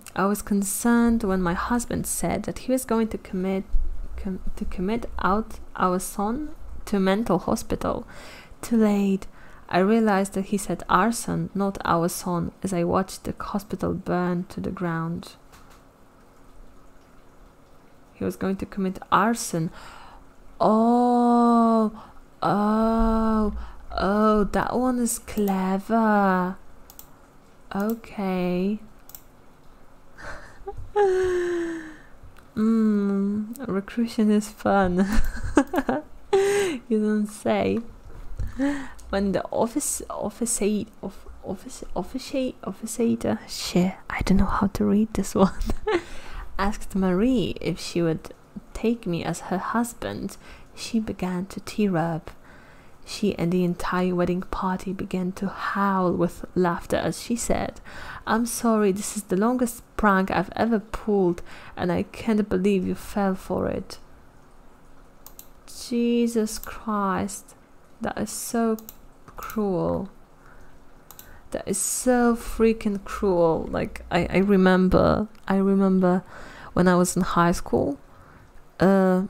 mm, I was concerned when my husband said that he was going to commit to commit out our son to mental hospital. Too late. I realized that he said arson, not our son, as I watched the hospital burn to the ground. He was going to commit arson. Oh, oh, oh, that one is clever. Okay. Mmm, recruiting is fun. you don't say. When the office officer of office officer officer shit, I don't know how to read this one. asked Marie if she would take me as her husband, she began to tear up. She and the entire wedding party began to howl with laughter as she said, I'm sorry, this is the longest prank I've ever pulled, and I can't believe you fell for it. Jesus Christ, that is so cruel. That is so freaking cruel. Like, I, remember, I remember when I was in high school, uh,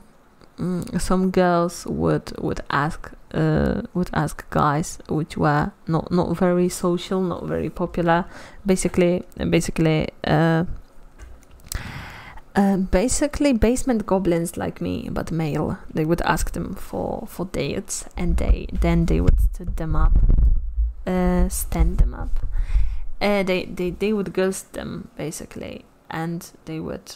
mm, some girls would would ask uh, would ask guys which were not not very social not very popular basically basically uh, uh, basically basement goblins like me but male they would ask them for for dates and they then they would stood them up uh, stand them up they, they they would ghost them basically and they would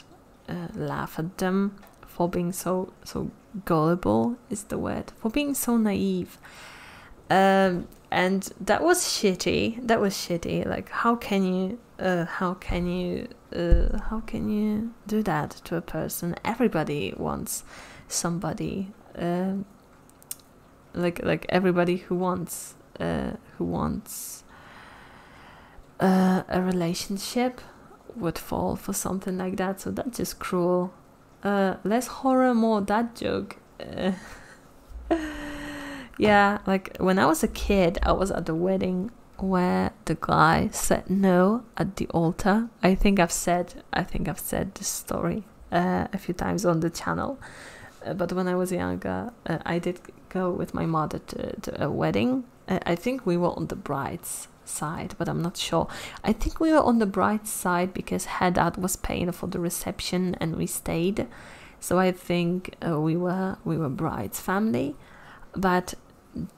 laugh at them for being so so gullible is the word for being so naive um, and that was shitty that was shitty like how can you uh, how can you uh, how can you do that to a person everybody wants somebody um, like like everybody who wants uh, who wants a relationship would fall for something like that so that's just cruel uh, less horror, more dad joke. Uh, yeah, like when I was a kid, I was at the wedding where the guy said no at the altar. I think I've said I think I've said this story uh, a few times on the channel. but when I was younger, I did go with my mother to a wedding. I think we were on the bride's side, but I'm not sure. I think we were on the bright side because Hadad was paying for the reception and we stayed. So I think uh, we were we were bride's family, but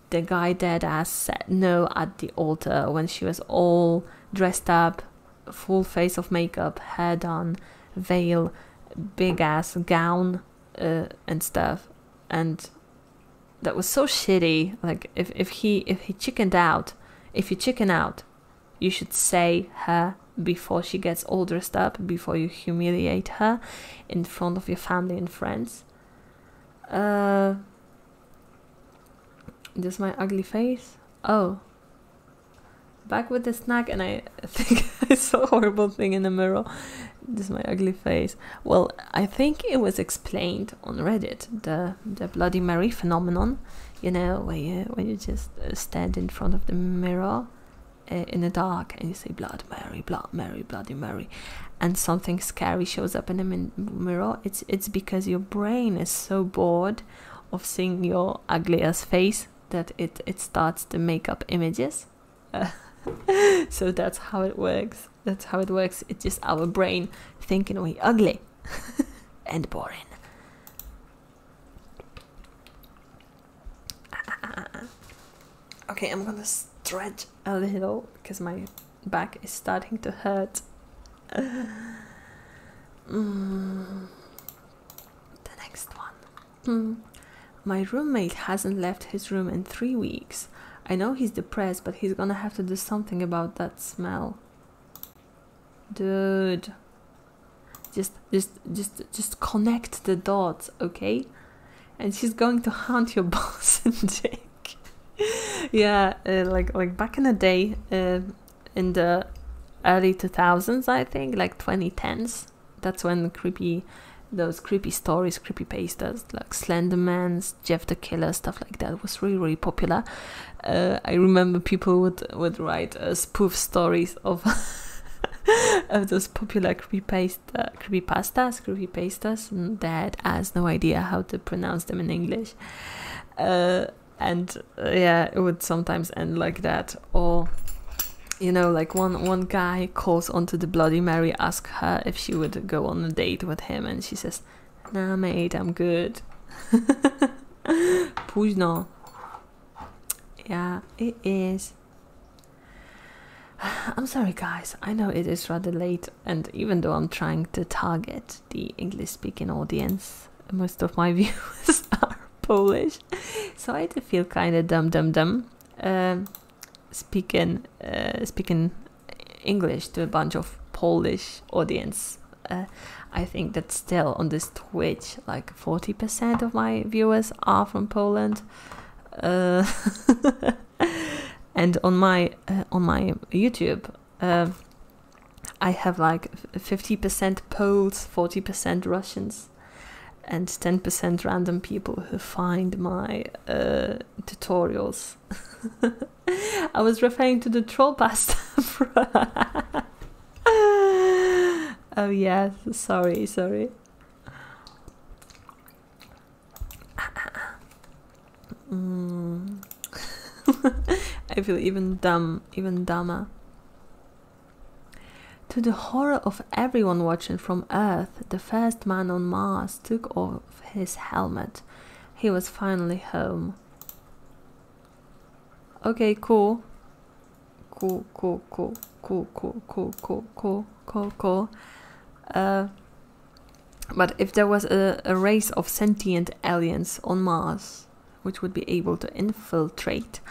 the guy dead ass said no at the altar when she was all dressed up, full face of makeup, hair done, veil, big ass gown, uh, and stuff, and that was so shitty. Like if if he if he chickened out, if you chicken out, you should say her before she gets all dressed up, before you humiliate her in front of your family and friends. Uh, this my ugly face? Oh. Back with the snack and I think I saw horrible thing in the mirror. This is my ugly face. Well, I think it was explained on Reddit, the the, Bloody Mary phenomenon, you know, where you, where you just uh, stand in front of the mirror uh, in the dark and you say Bloody Mary, Bloody Mary, Bloody Mary, and something scary shows up in the mirror. It's it's because your brain is so bored of seeing your ugliest face that it it starts to make up images. so that's how it works. That's how it works. It's just our brain thinking we ugly. and boring. Okay, I'm gonna stretch a little because my back is starting to hurt. Mm. The next one. Hmm. My roommate hasn't left his room in three weeks. I know he's depressed, but he's gonna have to do something about that smell. Dude. Just, just, just, just connect the dots, okay? And she's going to hunt your boss and take. yeah, uh, like, like back in the day, uh, in the early 2000s, I think, like 2010s, that's when creepy those creepy stories, creepy pastas like Slenderman, Jeff the Killer, stuff like that was really really popular. Uh, I remember people would would write uh, spoof stories of of those popular creepy creepypasta creepypastas creepypastas mm, that has no idea how to pronounce them in English. Uh, and yeah, it would sometimes end like that or you know like one one guy calls onto the bloody mary asks her if she would go on a date with him and she says no, mate, I'm good. Późno. Yeah, it is. I'm sorry, guys. I know it is rather late, and even though I'm trying to target the English speaking audience, most of my viewers are Polish, so I do feel kind of dumb, dumb, dumb um, uh, speaking, speaking English to a bunch of Polish audience. Uh, I think that still on this Twitch, like 40% of my viewers are from Poland, uh, and on my uh, on my YouTube, I have like 50% Poles, 40% Russians, and 10% random people who find my tutorials I was referring to the troll pasta. oh yes, sorry, sorry. Mm. I feel even dumb, even dumber. To the horror of everyone watching from Earth, the first man on Mars took off his helmet. He was finally home. Okay, cool. Cool, cool, cool, cool, cool, cool, cool, cool, cool, cool. Uh, but if there was a, a race of sentient aliens on Mars which would be able to infiltrate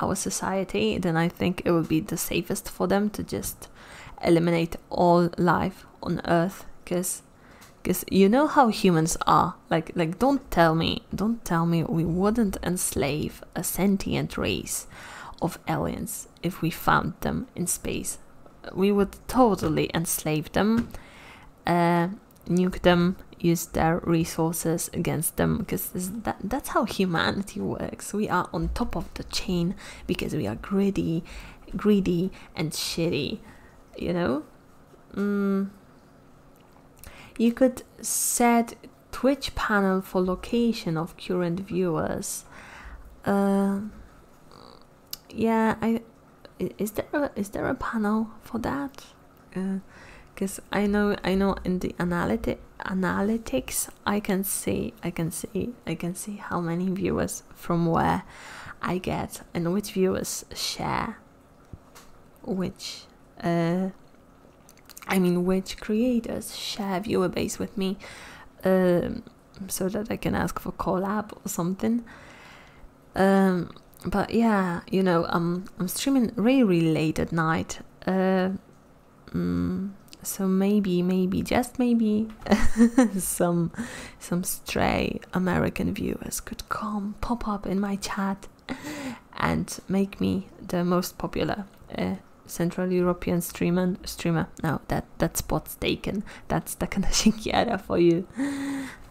our society, then I think it would be the safest for them to just eliminate all life on Earth because because you know how humans are like like don't tell me don't tell me we wouldn't enslave a sentient race of aliens if we found them in space we would totally enslave them uh, nuke them use their resources against them because that's how humanity works we are on top of the chain because we are greedy greedy and shitty you know Mm. you could set Twitch panel for location of current viewers. Uh, yeah, is there a, there a panel for that? Because uh, I know I know in the analytics I can see I can see I can see how many viewers from where I get and which viewers share which uh, I mean which creators share viewer base with me um, so that I can ask for collab or something um, but yeah you know I'm, I'm streaming really really late at night uh, mm, so maybe maybe just maybe some some stray American viewers could come pop up in my chat and make me the most popular uh, Central European streamer. Streamer. No, that that spot's taken. That's the kind of thing Takanashinkiara for you.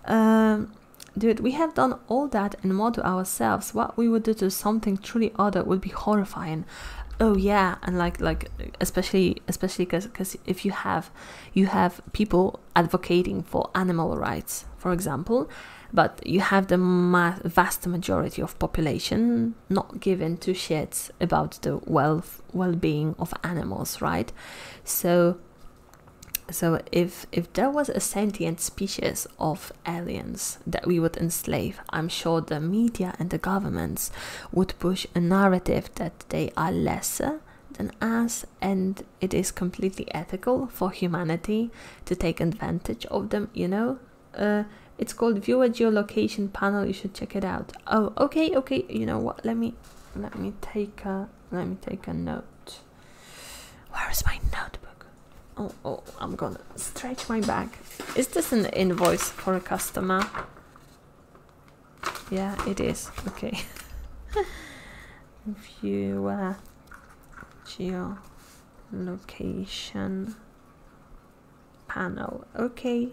Um, dude, we have done all that and more to ourselves. What we would do to something truly other would be horrifying. Oh yeah, and like like especially especially because if you have you have people advocating for animal rights, for example, but you have the vast majority of population not given to shits about the well well-being of animals, right? So so if if there was a sentient species of aliens that we would enslave, I'm sure the media and the governments would push a narrative that they are lesser than us, and it is completely ethical for humanity to take advantage of them, you know? Uh, it's called viewer geolocation panel, you should check it out. Oh, okay, okay, you know what, let me, let me take a, let me take a note. Where is my notebook? Oh, oh, I'm gonna stretch my back. Is this an invoice for a customer? Yeah, it is, okay. Viewer, geo location panel okay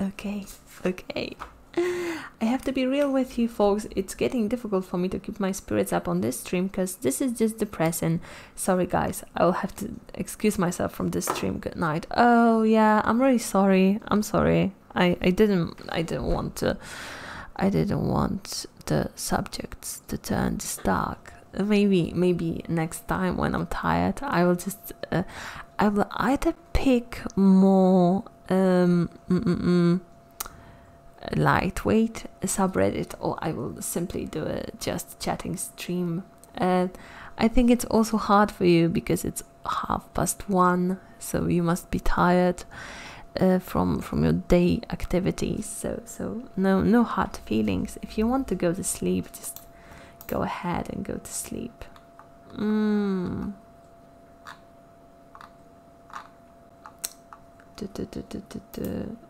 okay okay I have to be real with you folks, it's getting difficult for me to keep my spirits up on this stream because this is just depressing. Sorry guys, I'll have to excuse myself from this stream. Good night. Oh yeah, I'm really sorry. I'm sorry. I, I didn't I didn't want to I didn't want the subjects to turn this dark. Maybe maybe next time when I'm tired I will just uh, I will either pick more um, mm, mm, mm, lightweight subreddit or I will simply do a just chatting stream. I think it's also hard for you because it's half past one, so you must be tired uh, from from your day activities. So so no no hard feelings. If you want to go to sleep, just go ahead and go to sleep. Mm.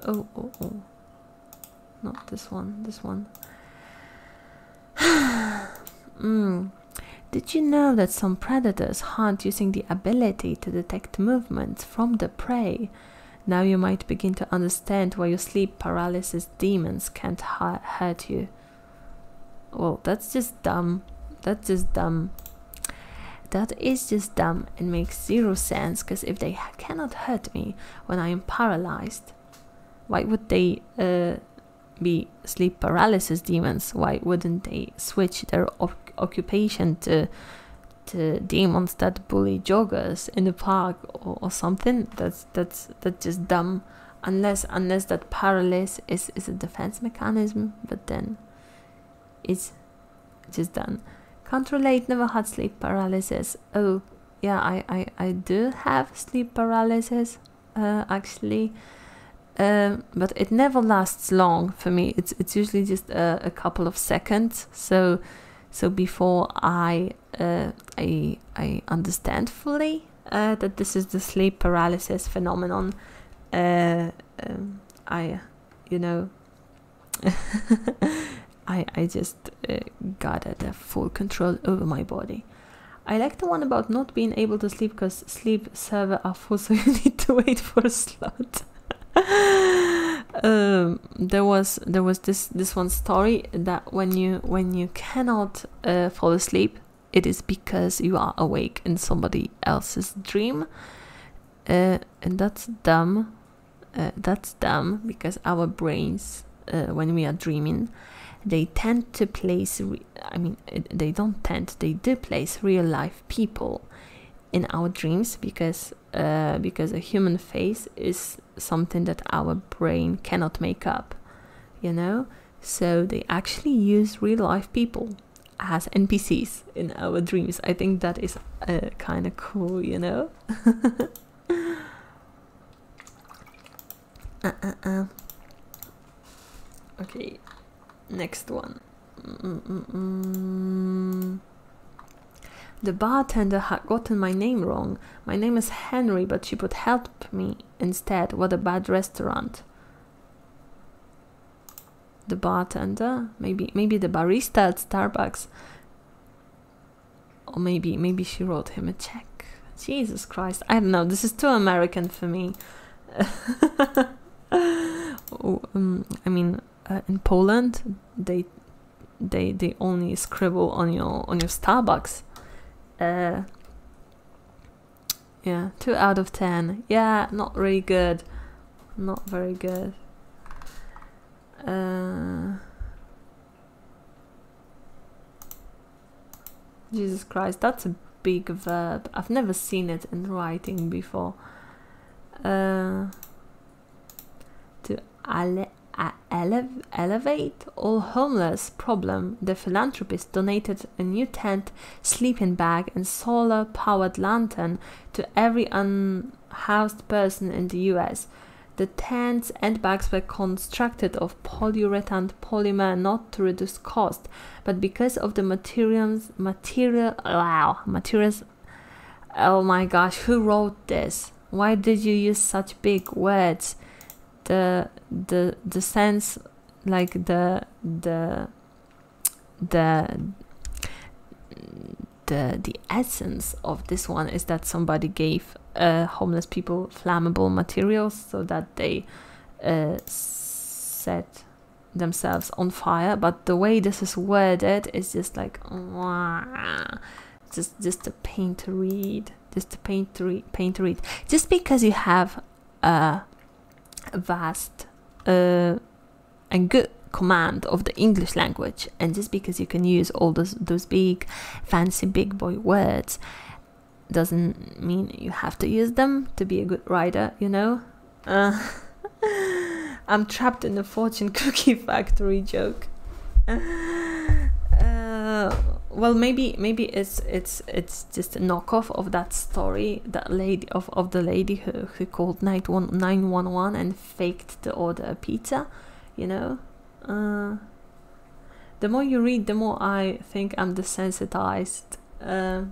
Oh, oh, oh Not this one, this one. mm. Did you know that some predators hunt using the ability to detect movement from the prey? Now you might begin to understand why your sleep paralysis demons can't hurt you. Well, that's just dumb. That's just dumb. That is just dumb and makes zero sense because if they cannot hurt me when I am paralyzed, why would they uh, be sleep paralysis demons? Why wouldn't they switch their occupation to to demons that bully joggers in the park or, something that's that's that's just dumb unless unless that paralysis is is a defense mechanism but then it's just done can't relate never had sleep paralysis oh yeah i i, I do have sleep paralysis uh, actually um, but it never lasts long for me. It's it's usually just a, couple of seconds. So so before I uh, I I understand fully uh, that this is the sleep paralysis phenomenon, uh, um, I you know I I just got the full control over my body. I like the one about not being able to sleep because sleep 7 afu so you need to wait for a slot um, there was there was this this one story that when you when you cannot uh, fall asleep it is because you are awake in somebody else's dream uh, and that's dumb uh, that's dumb because our brains when we are dreaming they tend to place i mean they don't tend they do place real life people in our dreams because uh, because a human face is something that our brain cannot make up you know so they actually use real life people as npcs in our dreams i think that is uh, kind of cool you know uh, okay Next one. The bartender had gotten my name wrong. My name is Henry, but she put help me instead. What a bad restaurant. The bartender, maybe maybe the barista at Starbucks. Or maybe maybe she wrote him a check. Jesus Christ. I don't know. This is too American for me. oh, um, I mean, uh, in Poland, they they they only scribble on your on your Starbucks. Uh, yeah, two out of ten. Yeah, not really good. Not very good. Uh, Jesus Christ, that's a big verb. I've never seen it in writing before. Uh, to ale elevate all homeless problem, the philanthropist donated a new tent, sleeping bag, and solar powered lantern to every unhoused person in the US. The tents and bags were constructed of polyurethane polymer not to reduce cost, but because of the materials, material. materials. Oh my gosh, who wrote this? Why did you use such big words? The the the sense, like the the the the the essence of this one is that somebody gave uh, homeless people flammable materials so that they uh, set themselves on fire but the way this is worded is just like wah, just just a pain to read just a pain to read pain to read just because you have a vast uh, and good command of the English language, and just because you can use all those those big, fancy big boy words, doesn't mean you have to use them to be a good writer. You know, uh, I'm trapped in a fortune cookie factory joke. Uh, well, maybe maybe it's it's it's just a knockoff of that story that lady of, of the lady who, who called night and faked the order a pizza, you know. Uh, the more you read, the more I think I'm desensitized uh,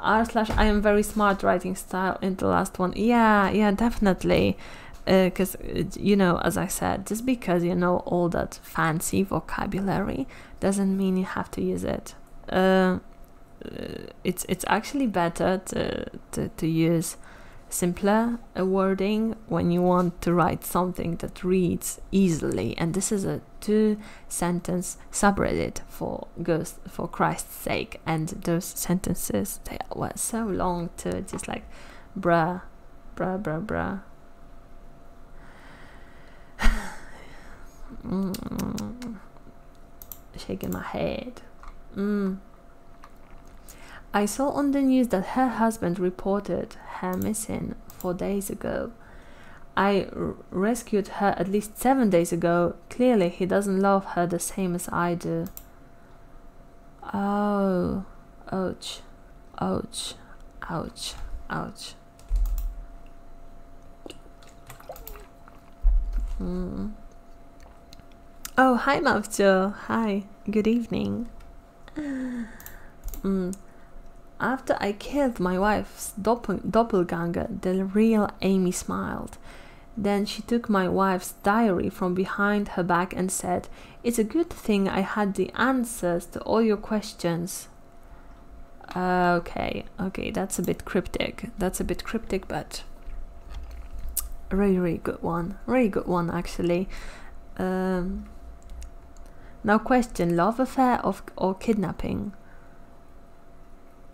r slash I am very smart writing style in the last one. Yeah, yeah, definitely. Because, uh, you know, as I said, just because you know all that fancy vocabulary doesn't mean you have to use it. Uh, it's it's actually better to, to, use simpler wording when you want to write something that reads easily and this is it two-sentence subreddit for Ghost for Christ's sake, and those sentences they were so long to just like, bruh, bruh, bruh, bruh. Mm. Shaking my head. Mm. I saw on the news that her husband reported her missing four days ago. I rescued her at least seven days ago clearly he doesn't love her the same as I do. Oh, ouch, ouch, ouch, ouch. Hmm. Oh, hi, Mokjo. Hi, good evening. Hmm. After I killed my wife, doppelganger, the real Amy smiled. Then she took my wife's diary from behind her back and said, It's a good thing I had the answers to all your questions. okay, okay, that's a bit cryptic. That's a bit cryptic, but a really, really good one. Really good one, actually. Um, now, question love affair or kidnapping?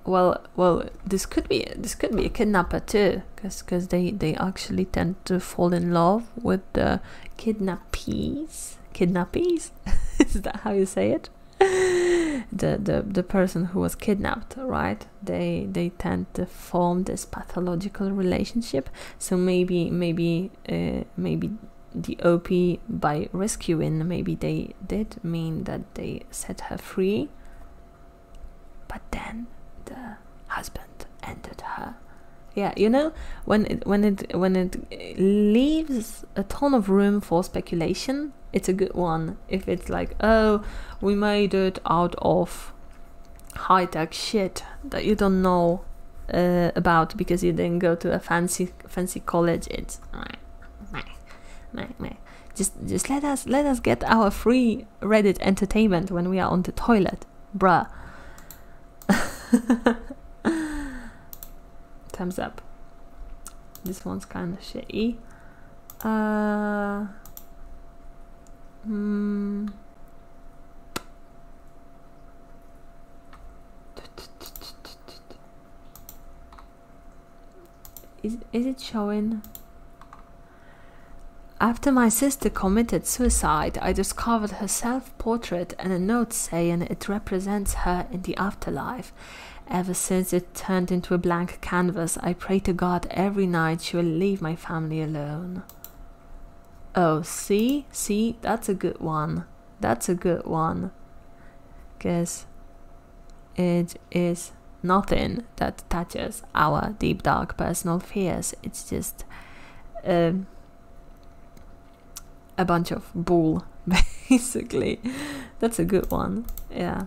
well, well, this could be this could be a kidnapper too, because because they they actually tend to fall in love with the kidnappees. Kidnappees, is that how you say it? the the the person who was kidnapped, right? They they tend to form this pathological relationship. So maybe maybe uh, maybe the OP by rescuing maybe they did mean that they set her free. But then the husband ended her. Yeah, you know when it when it when it leaves a ton of room for speculation, it's a good one. If it's like, oh, we made it out of high tech shit that you don't know uh, about because you didn't go to a fancy fancy college. It's meh, just just let us let us get our free Reddit entertainment when we are on the toilet, bruh. Thumbs up. This one's kind of shitty. Uh, hmm. Is, it showing? After my sister committed suicide, I discovered her self portrait and a note saying it represents her in the afterlife. Ever since it turned into a blank canvas, I pray to God every night she will leave my family alone. Oh, see? See? That's a good one. That's a good one. Guess. It is nothing that touches our deep dark personal fears. It's just uh, a bunch of bull, basically. That's a good one. Yeah.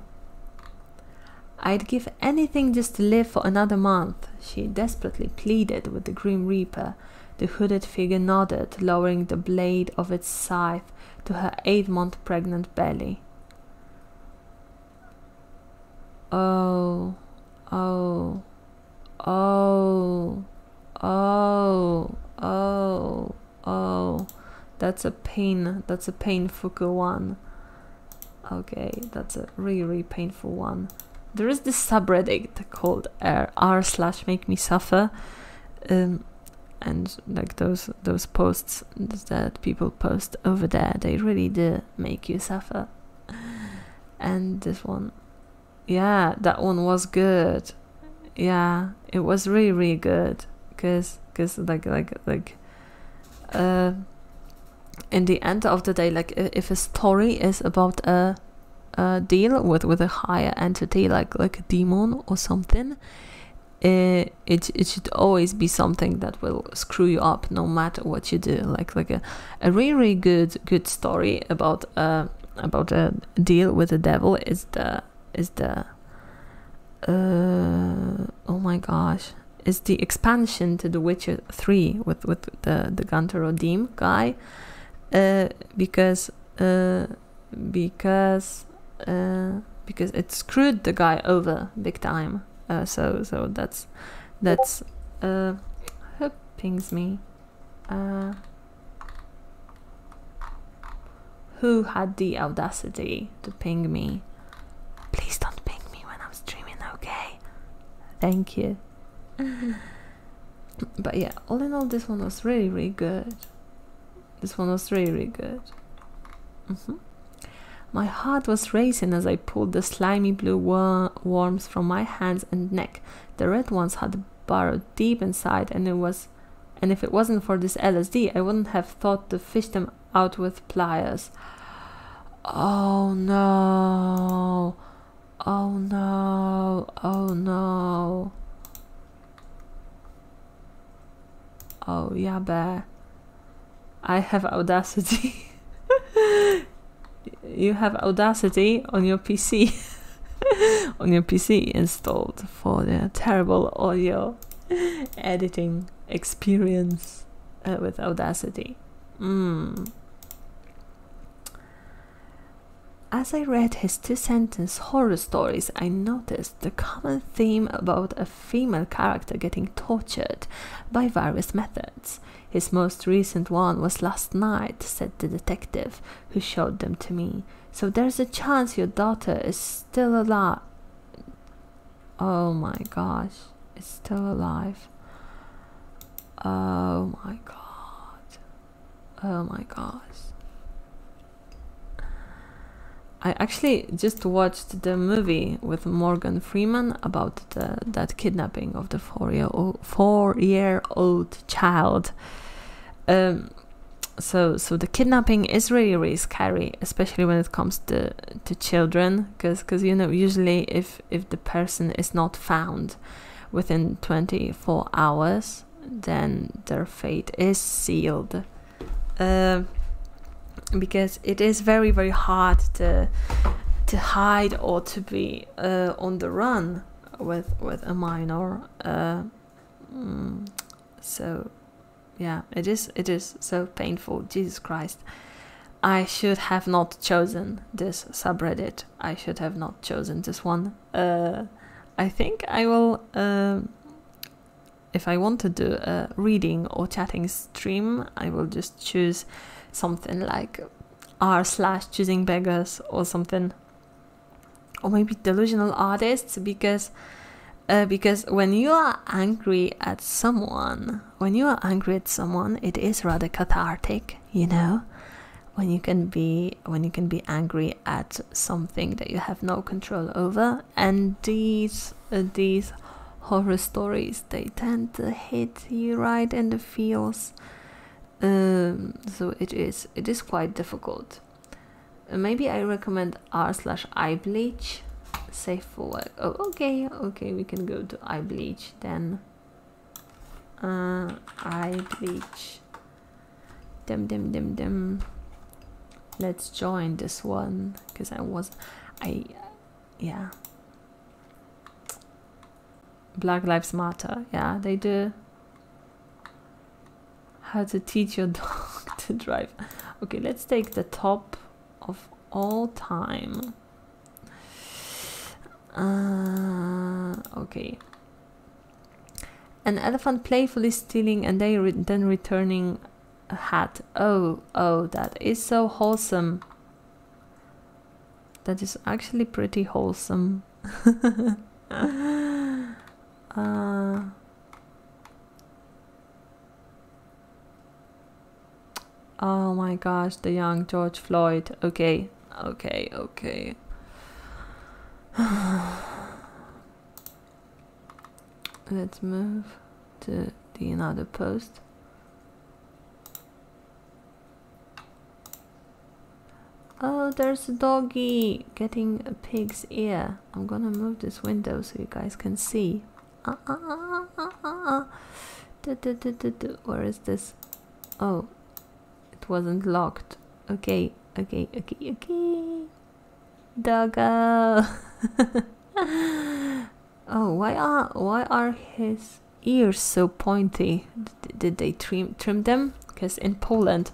I'd give anything just to live for another month, she desperately pleaded with the Grim Reaper. The hooded figure nodded, lowering the blade of its scythe to her eight month pregnant belly. Oh, oh, oh, oh, oh, oh. That's a pain. That's a painful one. Okay, that's a really, really painful one. There is this subreddit called uh, r slash make me suffer. Um, and like those those posts that people post over there they really do make you suffer and this one yeah that one was good yeah it was really really good because because like like like uh in the end of the day like if a story is about a, a deal with with a higher entity like like a demon or something it, it, should always be something that will screw you up no matter what you do like like a, a really, really good good story about uh about a deal with the devil is the is the uh, oh my gosh is the expansion to the witcher 3 with with the the gunter odim guy uh, because uh, because uh, because it screwed the guy over big time. Uh, so so that's that's uh, who pings me. who had the audacity to ping me? Please don't ping me when I'm streaming, okay? Thank you. but yeah, all in all, this one was really really good. This one was really, good. Mm-hmm. My heart was racing as I pulled the slimy blue worms from my hands and neck. The red ones had burrowed deep inside, and it was, and if it wasn't for this LSD, I wouldn't have thought to fish them out with pliers. Oh no! Oh no! Oh no! Oh, yeah, bear. I have Audacity. you have Audacity on your PC. on your PC installed for the terrible audio editing experience uh, with Audacity. Hmm. As I read his two sentence horror stories, I noticed the common theme about a female character getting tortured by various methods. His most recent one was last night, said the detective who showed them to me. So there's a chance your daughter is still alive. Oh my gosh, it's still alive. Oh my god. Oh my gosh. I actually just watched the movie with Morgan Freeman about that kidnapping of the four-year-old old child. Um, so, so the kidnapping is really, really scary, especially when it comes to, to children, because you know usually if if the person is not found within 24 hours, then their fate is sealed. Um, because it is very very hard to to hide or to be uh, on the run with with a minor. Uh, mm, so yeah, it is it is so painful. Jesus Christ. I should have not chosen this subreddit. I should have not chosen this one. Uh, I think I will if I want to do a reading or chatting stream, I will just choose something like r slash choosing beggars or something, or maybe delusional artists because uh, because when you are angry at someone, when you are angry at someone, it is rather cathartic, you know. When you can be when you can be angry at something that you have no control over, and these uh, these horror stories they tend to hit you right in the feels um, so it is it is quite difficult uh, maybe i recommend r slash i bleach safe for work oh okay okay we can go to i bleach then uh, i bleach dim dim dim dim Let's join this one because I was I yeah. Black Lives Matter. Yeah, they do. How to teach your dog to drive. Okay, let's take the top of all time. Uh, okay. An elephant playfully stealing and they then returning a hat. Oh, oh, that is so wholesome. That is actually pretty wholesome. uh, oh my gosh, the young George Floyd. Okay, okay, okay let's move to the another post oh there's a doggy getting a pig's ear I'm gonna move this window so you guys can see uh, uh, uh, do, do, do, where is this oh it wasn't locked okay okay okay okay Doggo. oh, why are why are his ears so pointy? did they trim trim them? Because in Poland,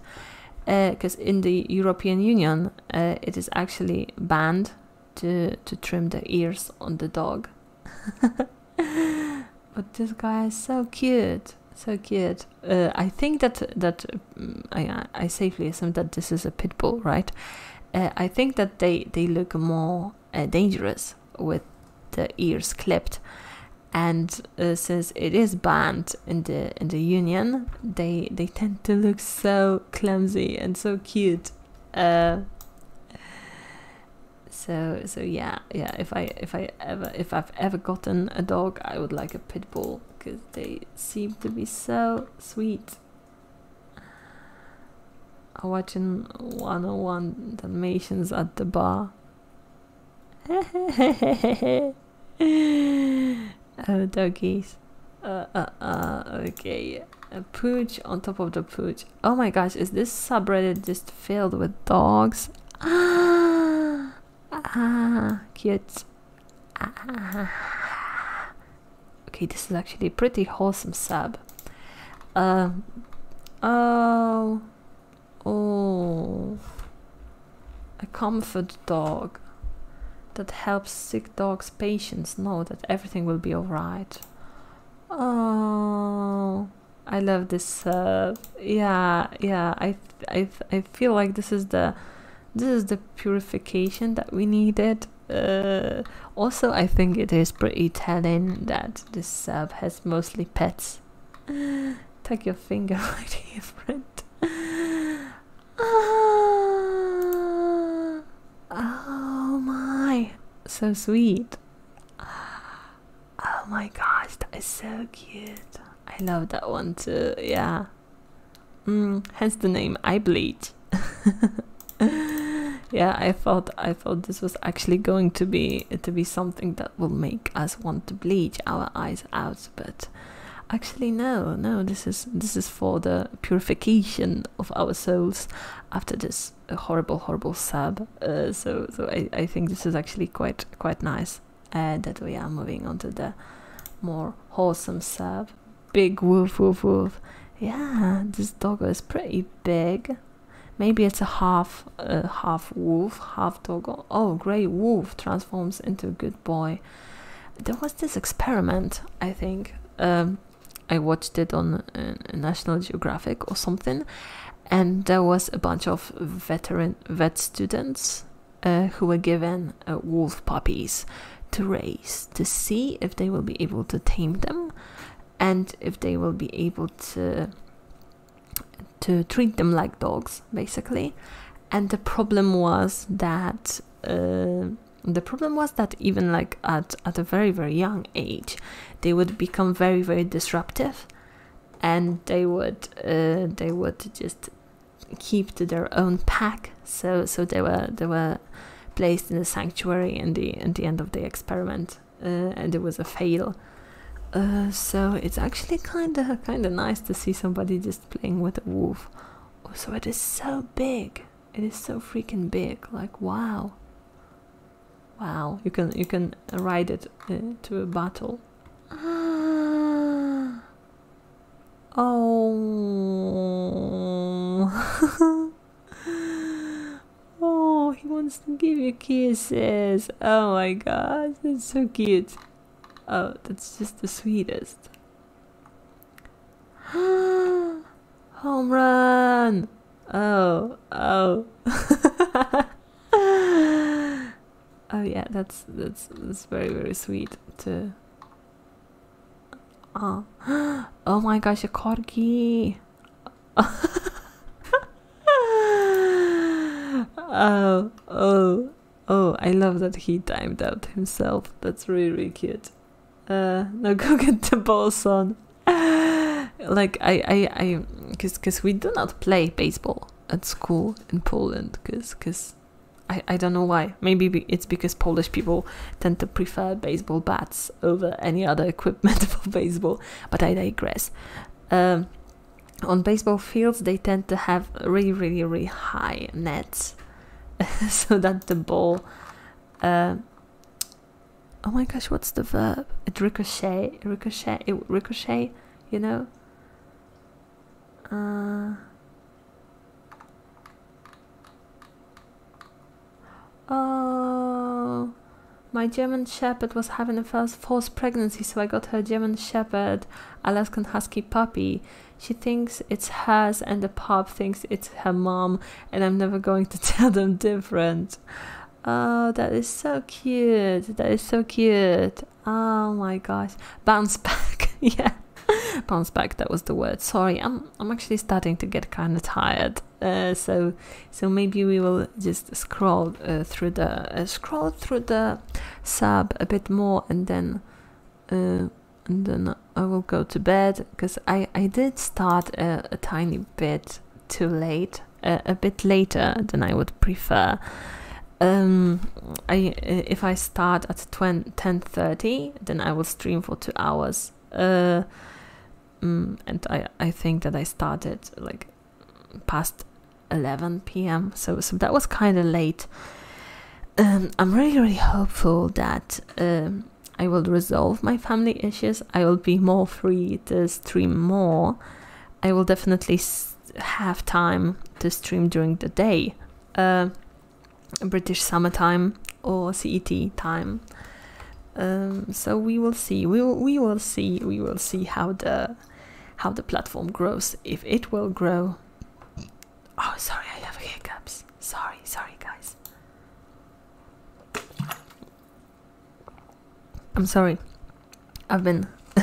because uh, in the European Union, uh, it is actually banned to to trim the ears on the dog. but this guy is so cute, so cute. Uh, I think that that I, I safely assume that this is a pit bull, right? Uh, I think that they, they look more uh, dangerous with the ears clipped. And uh, since it is banned in the in the union, they they tend to look so clumsy and so cute. so so yeah yeah. If I if I ever if I've ever gotten a dog, I would like a pit bull because they seem to be so sweet watching 101 Dalmatians at the bar. oh, doggies. Uh, uh, uh, okay. A pooch on top of the pooch. Oh my gosh, is this subreddit just filled with dogs? Ah, ah, cute. Ah. Okay, this is actually a pretty wholesome sub. Um, oh, oh, a comfort dog that helps sick dogs' patients know that everything will be alright. Oh, I love this. Uh, yeah, yeah. I, I, I feel like this is the this is the purification that we needed uh, also I think it is pretty telling that this sub has mostly pets tuck your finger right here friend oh my so sweet oh my gosh that is so cute I love that one too yeah Mm, hence the name I bleed. yeah, I thought I thought this was actually going to be to be something that will make us want to bleach our eyes out, but actually no, no. This is this is for the purification of our souls after this horrible, horrible sub. Uh, so, so I I think this is actually quite quite nice. and uh, that we are moving on to the more wholesome sub Big wolf, wolf, wolf. Yeah, this doggo is pretty big. Maybe it's a half, a half wolf, half doggo. Oh, gray wolf transforms into a good boy. There was this experiment, I think. Um, I watched it on uh, National Geographic or something, and there was a bunch of veteran vet students uh, who were given uh, wolf puppies, to raise to see if they will be able to tame them and if they will be able to to treat them like dogs basically and the problem was that uh, the problem was that even like at, at a very very young age they would become very very disruptive and they would uh, they would just keep to their own pack. So so they were they were placed in a sanctuary in the at the end of the experiment, uh, and it was a fail. Uh, so it's actually kind of kind of nice to see somebody just playing with a wolf. Also, oh, it is so big. It is so freaking big. Like wow. Wow, you can you can ride it uh, to a battle. Ah. Oh. oh, he wants to give you kisses. Oh my God, that's so cute. Oh, that's just the sweetest. Home run! Oh, oh. oh yeah, that's that's that's very very sweet to Oh. oh, my gosh, a corgi. oh, oh, oh, I love that he timed out himself. That's really, cute. Uh, now go get the ball, son. like, I, I, I, because cause we do not play baseball at school in Poland, because, because I, I don't know why. Maybe it's because Polish people tend to prefer baseball bats over any other equipment for baseball, but I digress. Um, on baseball fields, they tend to have really, really, really high nets so that the ball. Um, oh my gosh, what's the verb? It ricochet, ricochet, ricochet, you know? Uh, Oh, my German Shepherd was having a false pregnancy, so I got her German Shepherd, Alaskan Husky puppy. She thinks it's hers, and the pup thinks it's her mom, and I'm never going to tell them different. Oh, that is so cute. That is so cute. Oh my gosh. Bounce back. yeah. Pounce back, that was the word. Sorry, I'm I'm actually starting to get kind of tired. Uh, so so maybe we will just scroll uh, through the uh, scroll through the sub a bit more and then and then I will go to bed because I I did start a, tiny bit too late a bit later than I would prefer. Um, I if I start at 10:30 then I will stream for two hours. Uh, mm, and I, I think that I started like past 11 p.m. So, so that was kind of late. Um, I'm really, really hopeful that um, I will resolve my family issues. I will be more free to stream more. I will definitely have time to stream during the day. Uh, British summertime or CET time. Um, so we will see. We will, we will see. We will see how the how the platform grows. If it will grow. Oh, sorry, I have hiccups. Sorry, sorry, guys. I'm sorry. I've been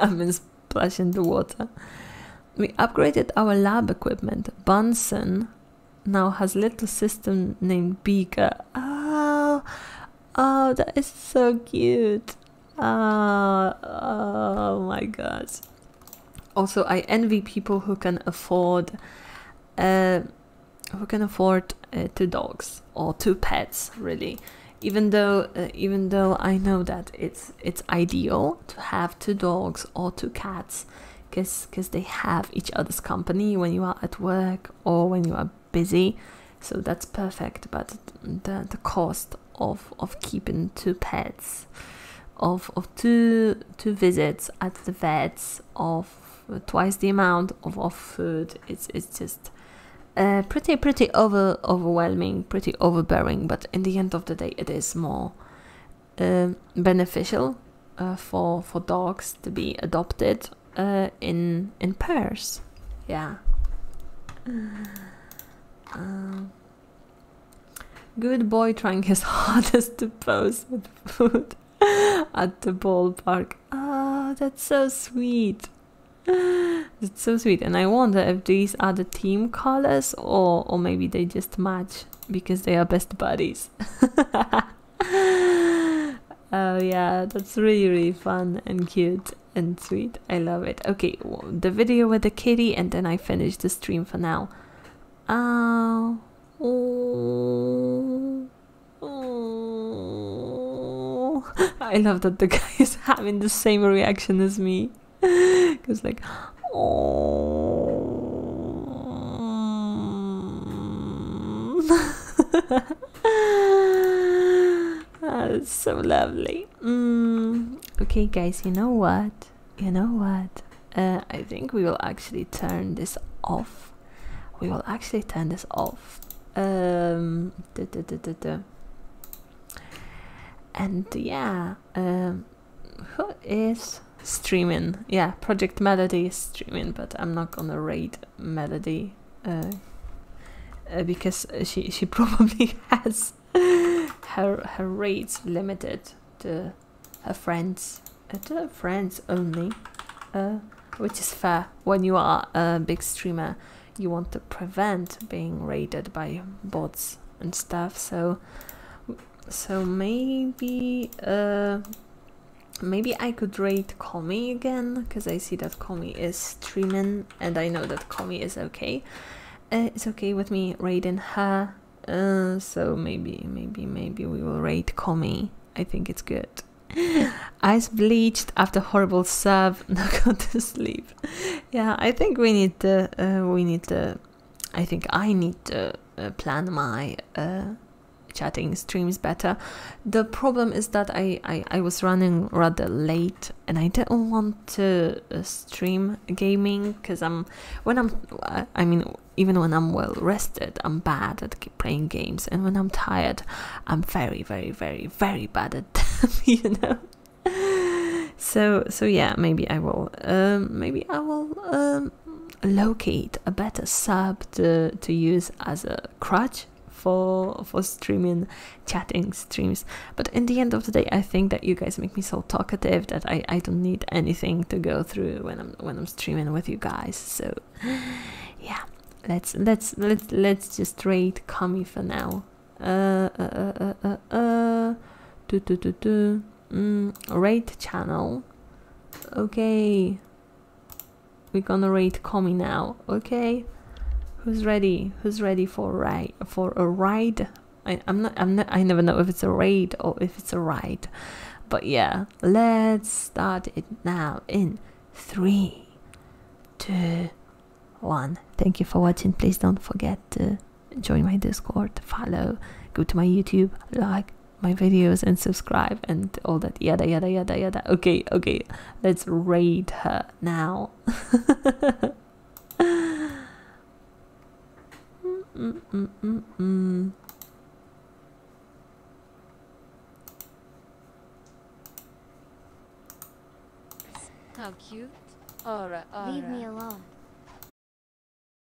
I've been splashing the water. We upgraded our lab equipment. Bunsen now has little system named Beaker. Oh, oh, that is so cute. Ah, oh my god. Also, I envy people who can afford, uh, who can afford uh, two dogs or two pets. Really, even though, uh, even though I know that it's it's ideal to have two dogs or two cats because because they have each other's company when you are at work or when you are busy so that's perfect but the, the cost of of keeping two pets of of two two visits at the vets of twice the amount of, of food it's it's just uh, pretty pretty over overwhelming pretty overbearing but in the end of the day it is more um, beneficial uh, for for dogs to be adopted uh, in in pairs. Yeah. Um, good boy trying his hardest to pose with food at the ballpark. Ah, that's so sweet. It's so sweet, and I wonder if these are the team colors or or maybe they just match because they are best buddies. oh yeah, that's really really fun and cute and sweet. I love it. Okay, the video with the kitty and then I finish the stream for now. Oh. Oh. Oh. I love that the guy is having the same reaction as me. Because like Oh. That's so lovely. Mm. Okay, guys, you know what? You know what? Uh, I think we will actually turn this off. We will actually turn this off. Um, and yeah, um, who is streaming? Yeah, Project Melody is streaming, but I'm not gonna raid Melody uh, uh, because she she probably has her her raids limited to her friends uh, to friends only, which is fair. When you are a big streamer, you want to prevent being raided by bots and stuff. So so maybe uh, maybe I could rate Komi again, because I see that Komi is streaming, and I know that Komi is okay. Uh, it's okay with me rating her, uh, so maybe, maybe, maybe we will rate Komi. I think it's good. Eyes bleached after horrible serve, not going to sleep. Yeah, I think we need to. uh, we need to. I think I need to uh, plan my uh, chatting streams better. The problem is that I, I, was running rather late and I didn't want to uh, stream gaming because I'm when I'm I mean even when I'm well rested I'm bad at playing games and when I'm tired I'm very very very very bad at them you know. So so yeah maybe I will um, maybe I will um, locate a better sub to, to use as a crutch for for streaming chatting streams but in the end of the day i think that you guys make me so talkative that i i don't need anything to go through when i'm when i'm streaming with you guys so yeah let's let's let's let's just trade kami for now uh, uh uh uh uh, uh. do do do do Mm, rate channel. Okay. We're gonna rate Comi now. Okay. Who's ready? Who's ready for ride for a ride? I, I'm not I'm not I never know if it's a raid or if it's a ride. But yeah, let's start it now in three, two, one. Thank you for watching. Please don't forget to join my Discord, follow, go to my YouTube, like, my videos and subscribe and all that yada yada yada yada okay okay let's raid her now How cute. Aura, aura. Leave me alone.